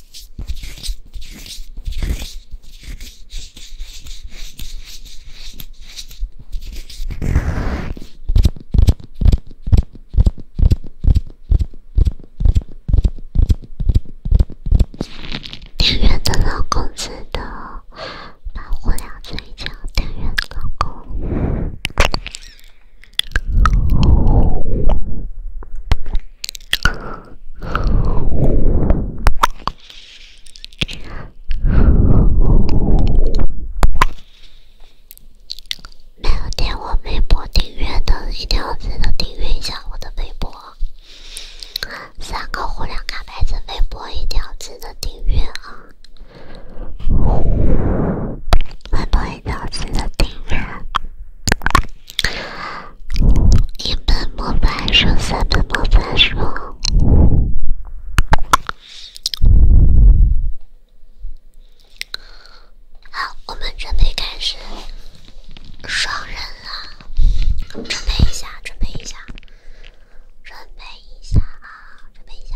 田园的老公似的，把婚俩吹掉。田园老公。没有点我微博订阅的，一定要记得订阅一下我的微博。三个火点卡牌子微博，一定要记得订阅啊！微博一定要记得订阅。一本模板书，三本模板书。好，我们准备开始双人了。准备一下，准备一下，准备一下啊，准备一下。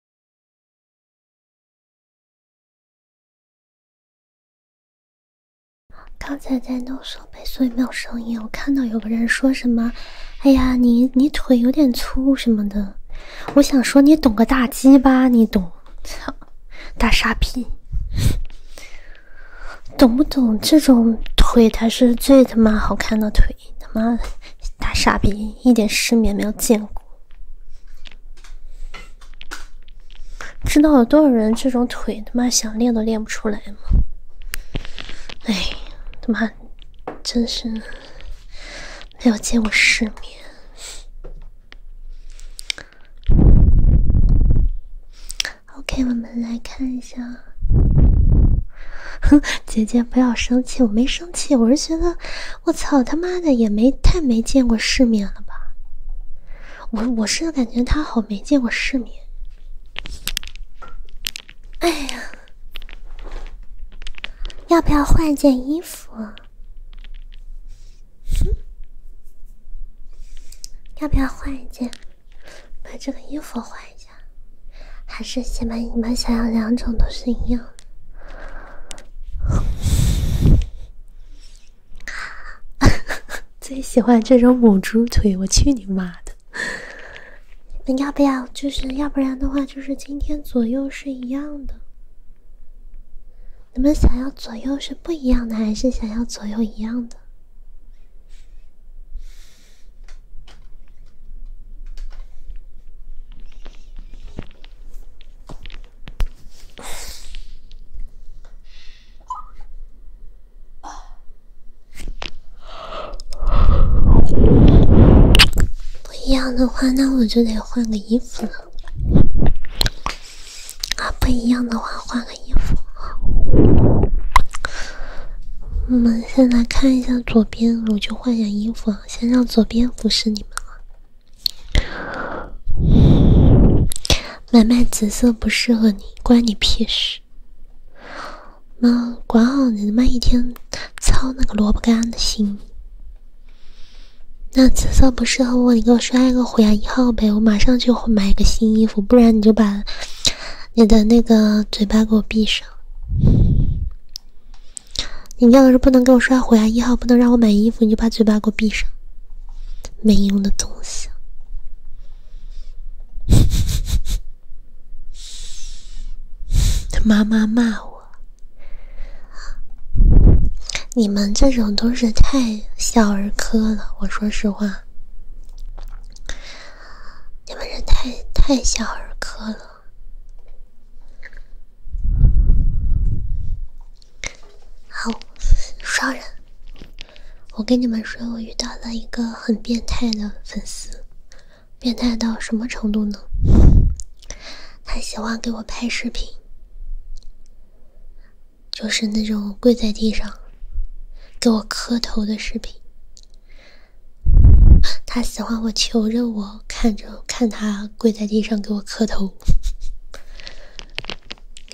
刚才在弄设备，所以没有声音。我看到有个人说什么：“哎呀，你你腿有点粗什么的。”我想说：“你懂个大鸡巴？你懂？操，大傻逼！懂不懂？这种腿才是最他妈好看的腿！他妈大傻逼，一点世面没有见过。”知道有多少人这种腿他妈想练都练不出来吗？哎，他妈真是没有见过世面。OK，我们来看一下，哼，姐姐不要生气，我没生气，我是觉得。我操，他妈的也没太没见过世面了吧？我我是感觉他好没见过世面。哎呀，要不要换件衣服？要不要换一件？把这个衣服换一下？还是先把你们想要两种都是一样的？最喜欢这种母猪腿，我去你妈的！你们要不要？就是要不然的话，就是今天左右是一样的。你们想要左右是不一样的，还是想要左右一样的？不一样的话，那我就得换个衣服了。啊，不一样的话，换个衣服。我们先来看一下左边，我去换下衣服啊。先让左边服侍你们买卖紫色不适合你，关你屁事。妈，管好你他妈一天，操那个萝卜干的心。那紫色不适合我，你给我刷一个虎牙一号呗，我马上就会买一个新衣服。不然你就把你的那个嘴巴给我闭上。你要是不能给我刷虎牙一号，不能让我买衣服，你就把嘴巴给我闭上。没用的东西！他妈妈骂我，你们这种都是太小儿科了。我说实话，你们人太太小儿科了。好，双人！我跟你们说，我遇到了一个很变态的粉丝，变态到什么程度呢？他喜欢给我拍视频，就是那种跪在地上给我磕头的视频。他喜欢我求着我，看着看他跪在地上给我磕头。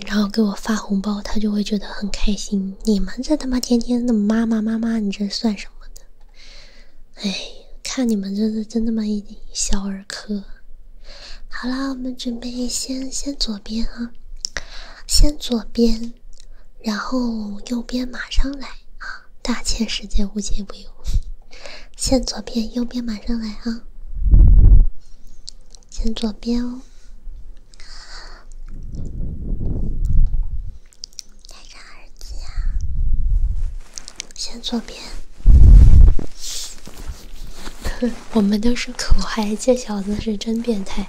然后给我发红包，他就会觉得很开心。你们这他妈天天的妈妈妈妈，你这算什么的？哎，看你们这是真他妈一小儿科。好啦，我们准备先先左边啊，先左边，然后右边马上来啊！大千世界无奇不有，先左边，右边马上来啊！先左边哦，戴着耳机啊，先左边。我们都是口嗨，这小子是真变态。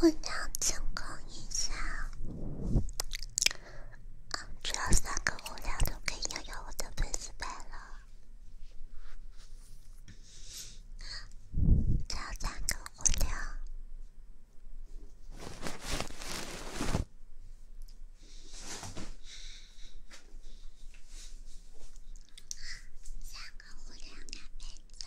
互相轻抚一下。啊！只要三个蝴蝶，就可以拥有我的粉丝粉了。只要三个蝴蝶，三个蝴蝶的粉子。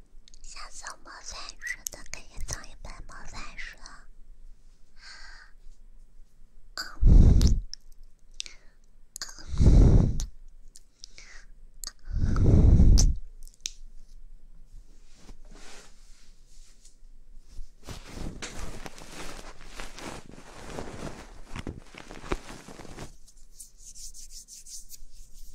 下次魔法书的，可以送一本魔法书。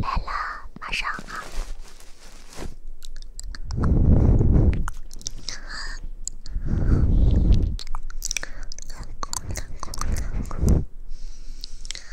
来了，马上啊！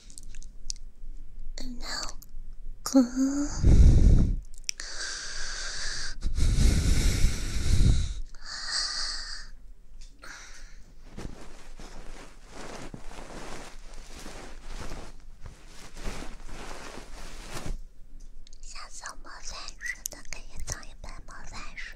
下次魔法师的可以送一本魔法师。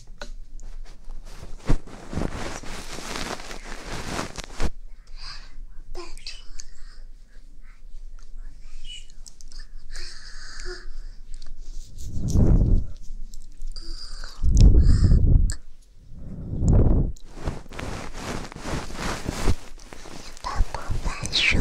拜托了，说。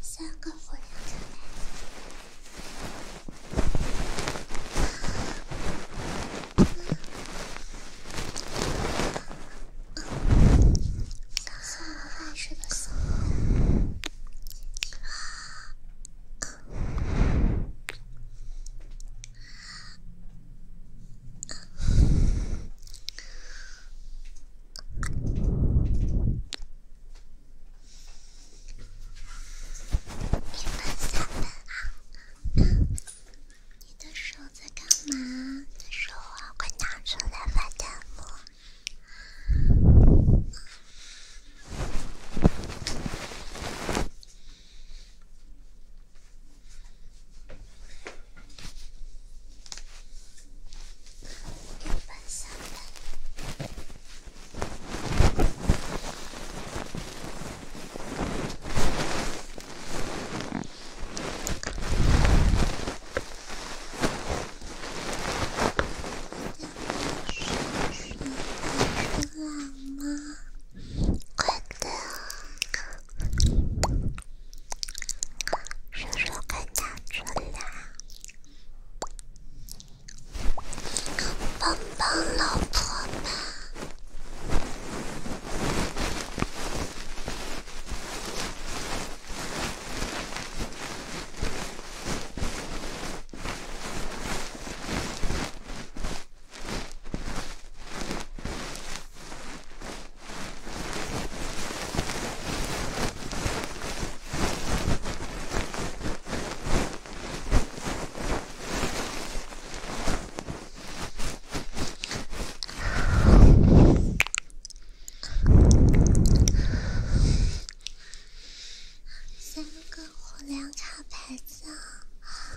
三个火烈鸟。啊，哈哈，爱吃的松。一分三分啊！你的手在干嘛？的手，快拿出来翻弹幕。有蚊香吗？你冷吗？快点啊！伸手给他取暖，帮帮老婆吧。两场牌子啊！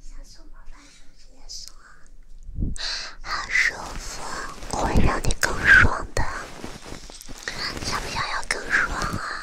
想送我什么直接说。好舒服，会让你更爽的。想不想要更爽啊？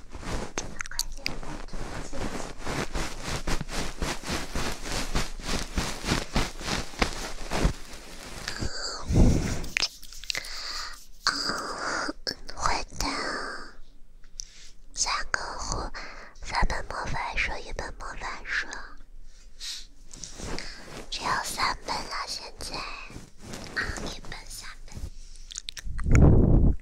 啊，会的。三个壶，三本魔法书，一本魔法书，只有三本了，现在。一本，三本。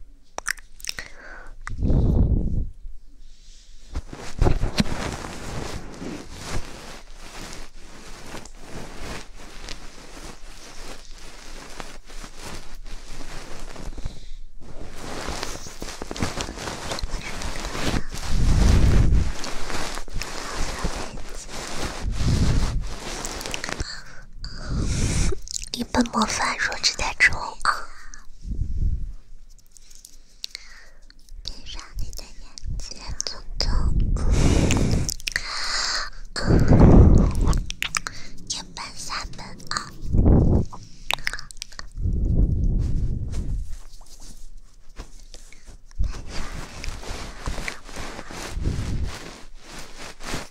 一笨模范，弱智代充。闭上你的眼睛，匆匆。夜半三更啊，带上你的魔法。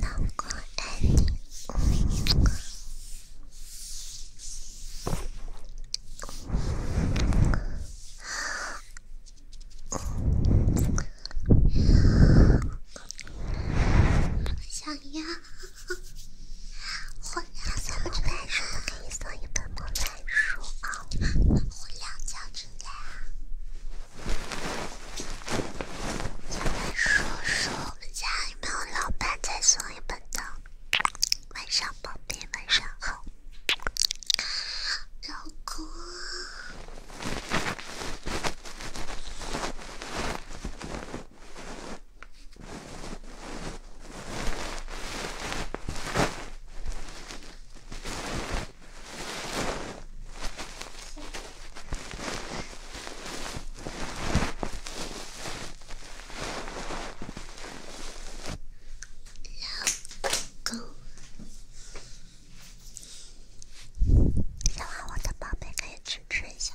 难过，爱你，我想要。晚上，咱们这本书可以送一本《蒙太书》啊！我亮叫起来啊！咱们说说我们家有没有老板再送一本的？晚上，宝贝，晚上好，老公。老公，喜欢我的宝贝可以支持一下。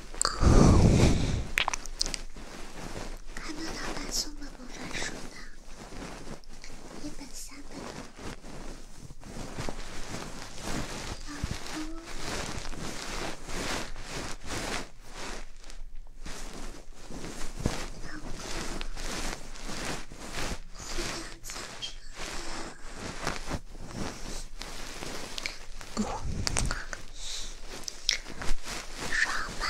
还没有到发送魔法书的一本、三本呢。老公，老公，我要起床了。爽吧！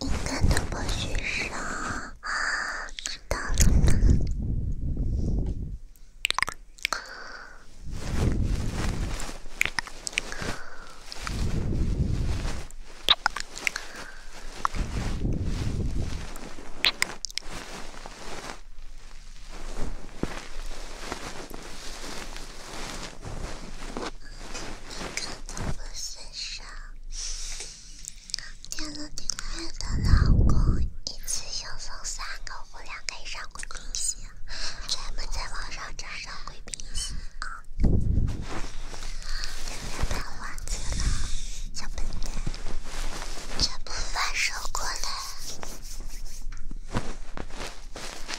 应该都不许说啊，看到了吗？你可都不算少，点了订阅的老公，一次性送三个，我俩可以上贵宾席。咱们在网上占上贵宾席啊！不要碰王子了，小笨蛋！全部发收过来。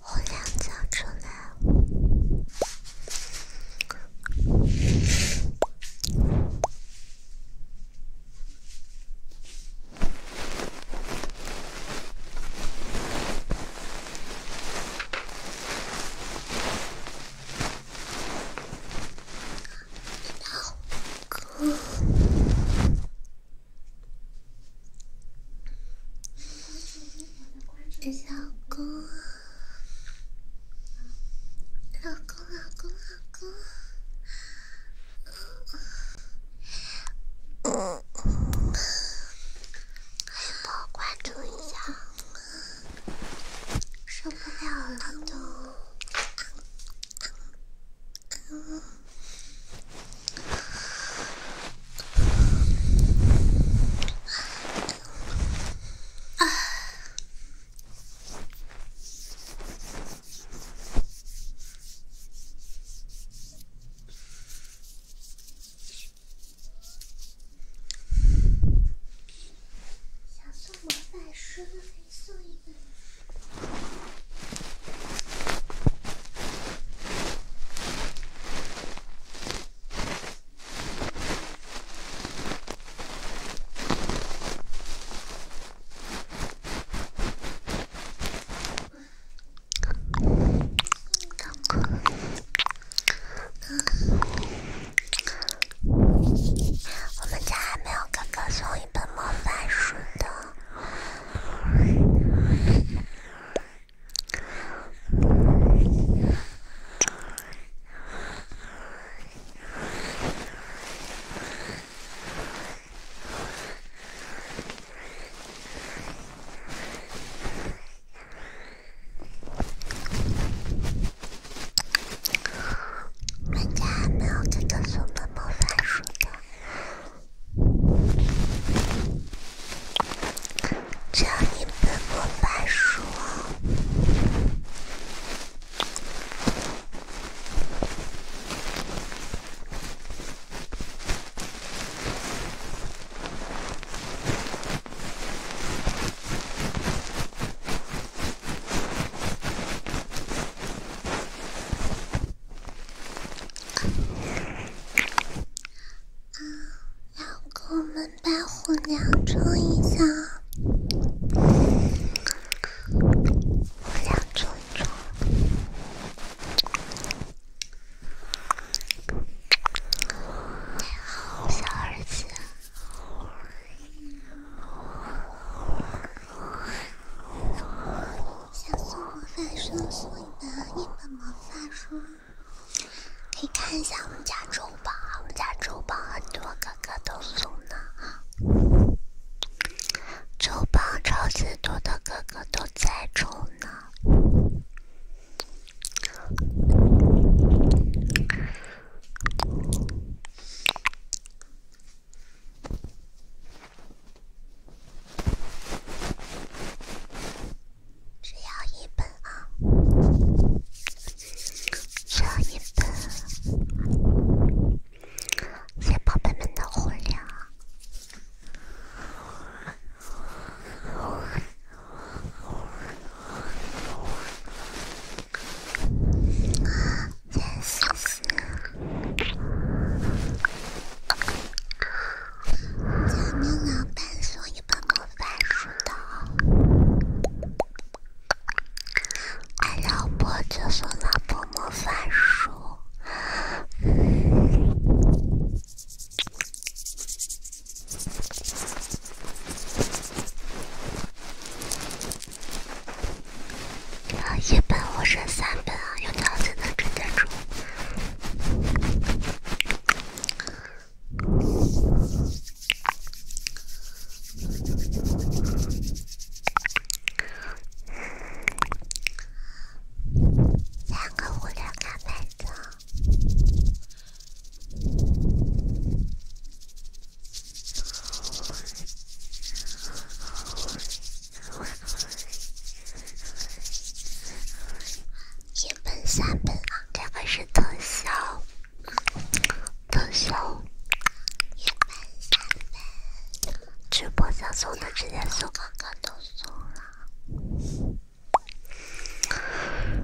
我两叫出来了。老公，老公，老公，老公，老公，老公，关注一下。受不了了都。想送魔法书，可以送一本。我们家还没有哥哥送一本魔法书的。玩家没有这个魔法书的，只要你背魔法书。啊，要给我们白虎量重一下，量重一重。你好，小儿子。想送我发束送的一本魔法书，可以看一下我们家周榜，我们家周榜很多哥哥都送呢哈，周榜超级多的哥哥都在抽呢。只要一本啊，这一本是宝贝们的福利咱老板送你本魔法书的，爱老婆就送老婆魔法书。啊，一本我扔三本啊，有条才能撑得住。两个无聊个本子。一本三本啊，这个是特效，特效。一本三本，直播想送的直接送，刚刚都送了。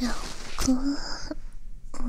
老公，我，我。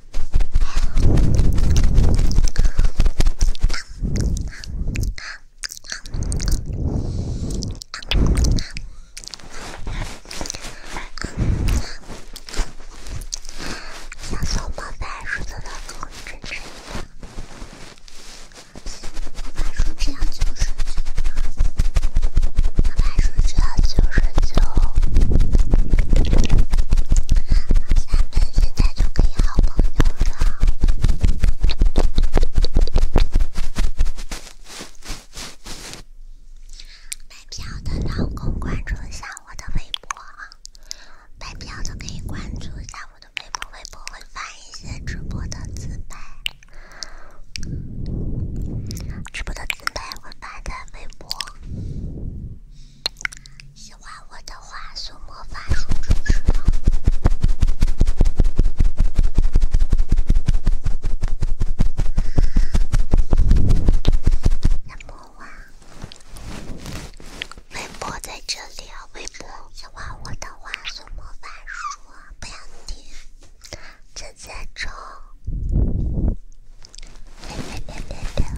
小松鼠在树上的树枝上。小松鼠只要九十九，小松鼠只要九十九。现在就可以好朋友了。买票的老公关注一下我的微博啊！买票的可以关注一下我的微博，微博会发一些直播的自拍，直播的自拍会发在微博。喜欢我的话，送魔法书支持我。小魔王，微博在这里，微博。喜欢我的话，送魔法书，不要停。陈建州，来来来来来。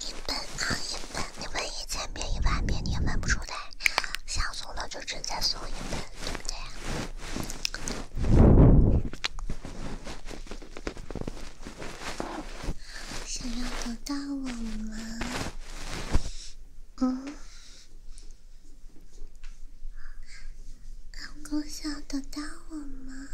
一本换一本，你问一千遍一万遍你也问不出来，想送了就直接送一本，对不对？想要得到我吗？嗯？能够想得到我吗？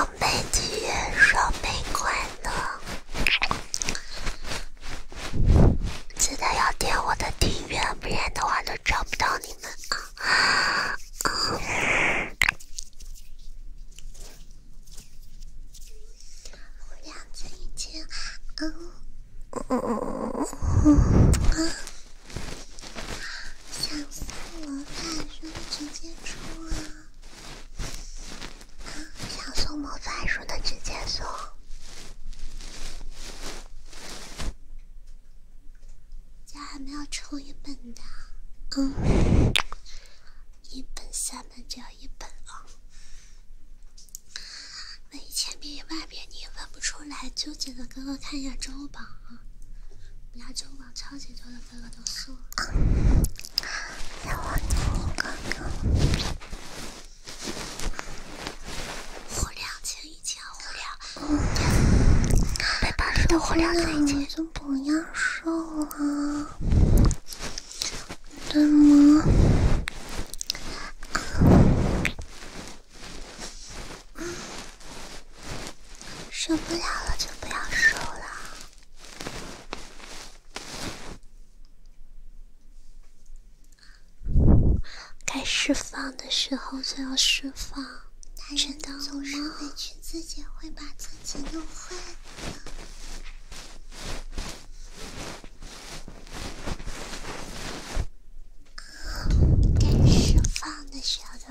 要没订阅，双倍快乐！记得要点我的订阅，不然的话都找不到你们啊！不要催促，嗯嗯嗯，想送我卡，说直接充啊！想送魔法书的直接送，家还没有抽一本的，嗯，一本三本只要一本啊，问一千遍一万遍你也问不出来，纠结的哥哥看一下周榜啊，我们家周榜超级多的。我看看，火亮情意，火亮，的火亮在一起。就不要瘦了，对吗？受不了了，就不要瘦了。该释放的时候就要释放，真的吗？总是委屈自己，会把自己弄坏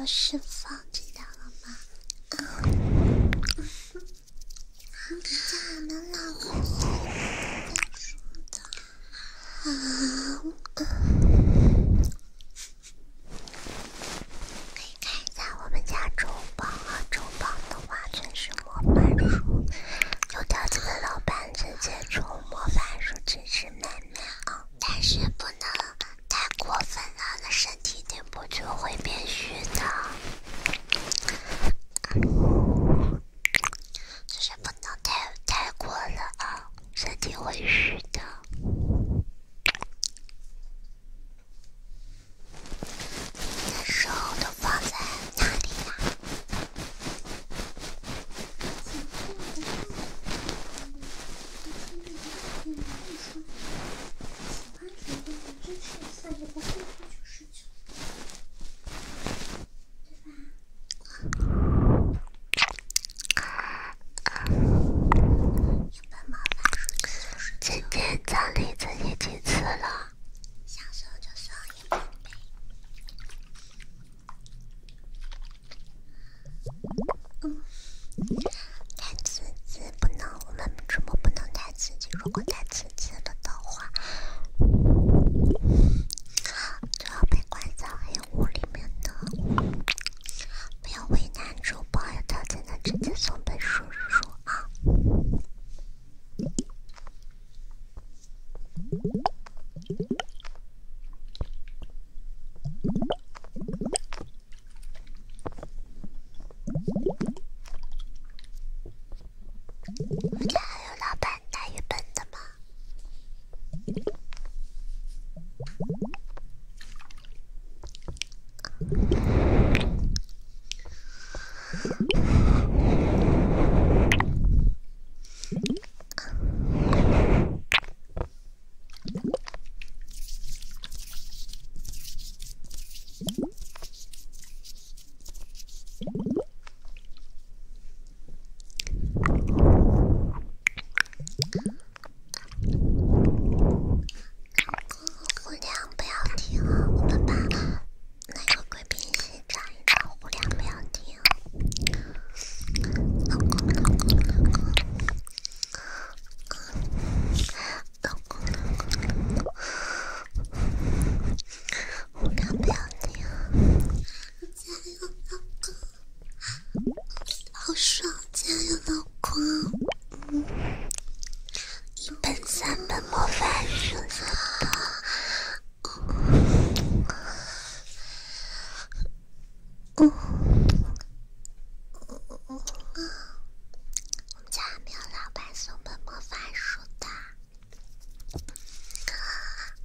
释放知道了吗？看一下老板的书的，可以看一下我们家周宝啊，周宝的话全是魔法书，有条件的老板直接抽魔法书真是美妙，但是不能太过分了，那身体顶不住会变虚的。就是不能太太过了啊，身体会虚的。你的手都放在哪里呀？就是。今天奖励自己几次了？嗯，太刺激不能，我们直播不能太刺激，如果太刺。吃了的话，就要被关在黑屋里面的。不要为难主播，他才能直接送本书说啊。我家还有老板大于本的吗？姑娘，不要听哦，我们班那个贵宾系长。姑娘，不要听。老公，老公，老公，我刚不要你了。加油，老公，好爽！加油，老公，一本三本魔法书呢！嗯，我们家还没有老板送本魔法书的。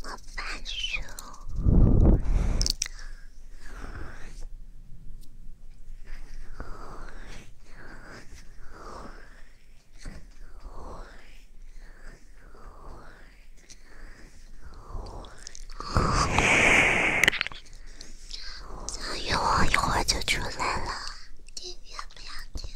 我翻就出来了。爹。不要听，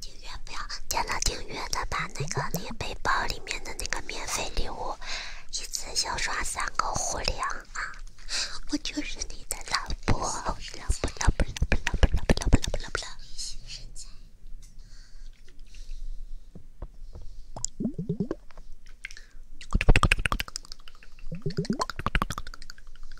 订阅不要点了订阅的，把那个那个背包里面的那个免费礼物，一次性刷三个虎粮啊！我就是你的老婆，不啦不啦不啦不啦不啦不啦不啦不啦不啦！微信身材。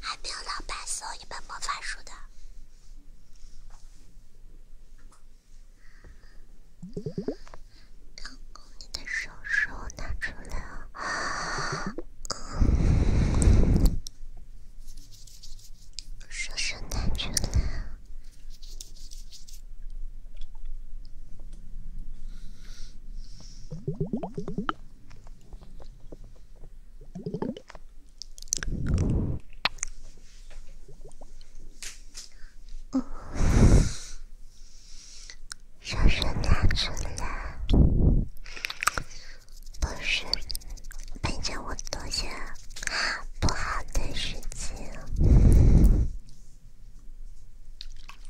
还没有老板送一本魔法书的。老公，你的手手拿出来啊！手手拿出来。哦，小声点，出来！不是，背着我做些不好的事情。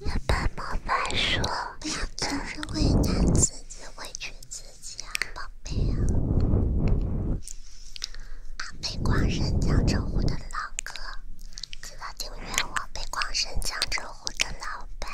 要怎么来说？不要总是为难自己、委屈自己啊，宝贝啊！北广深江浙沪的老哥，记得订阅我。北广深江浙沪的老板。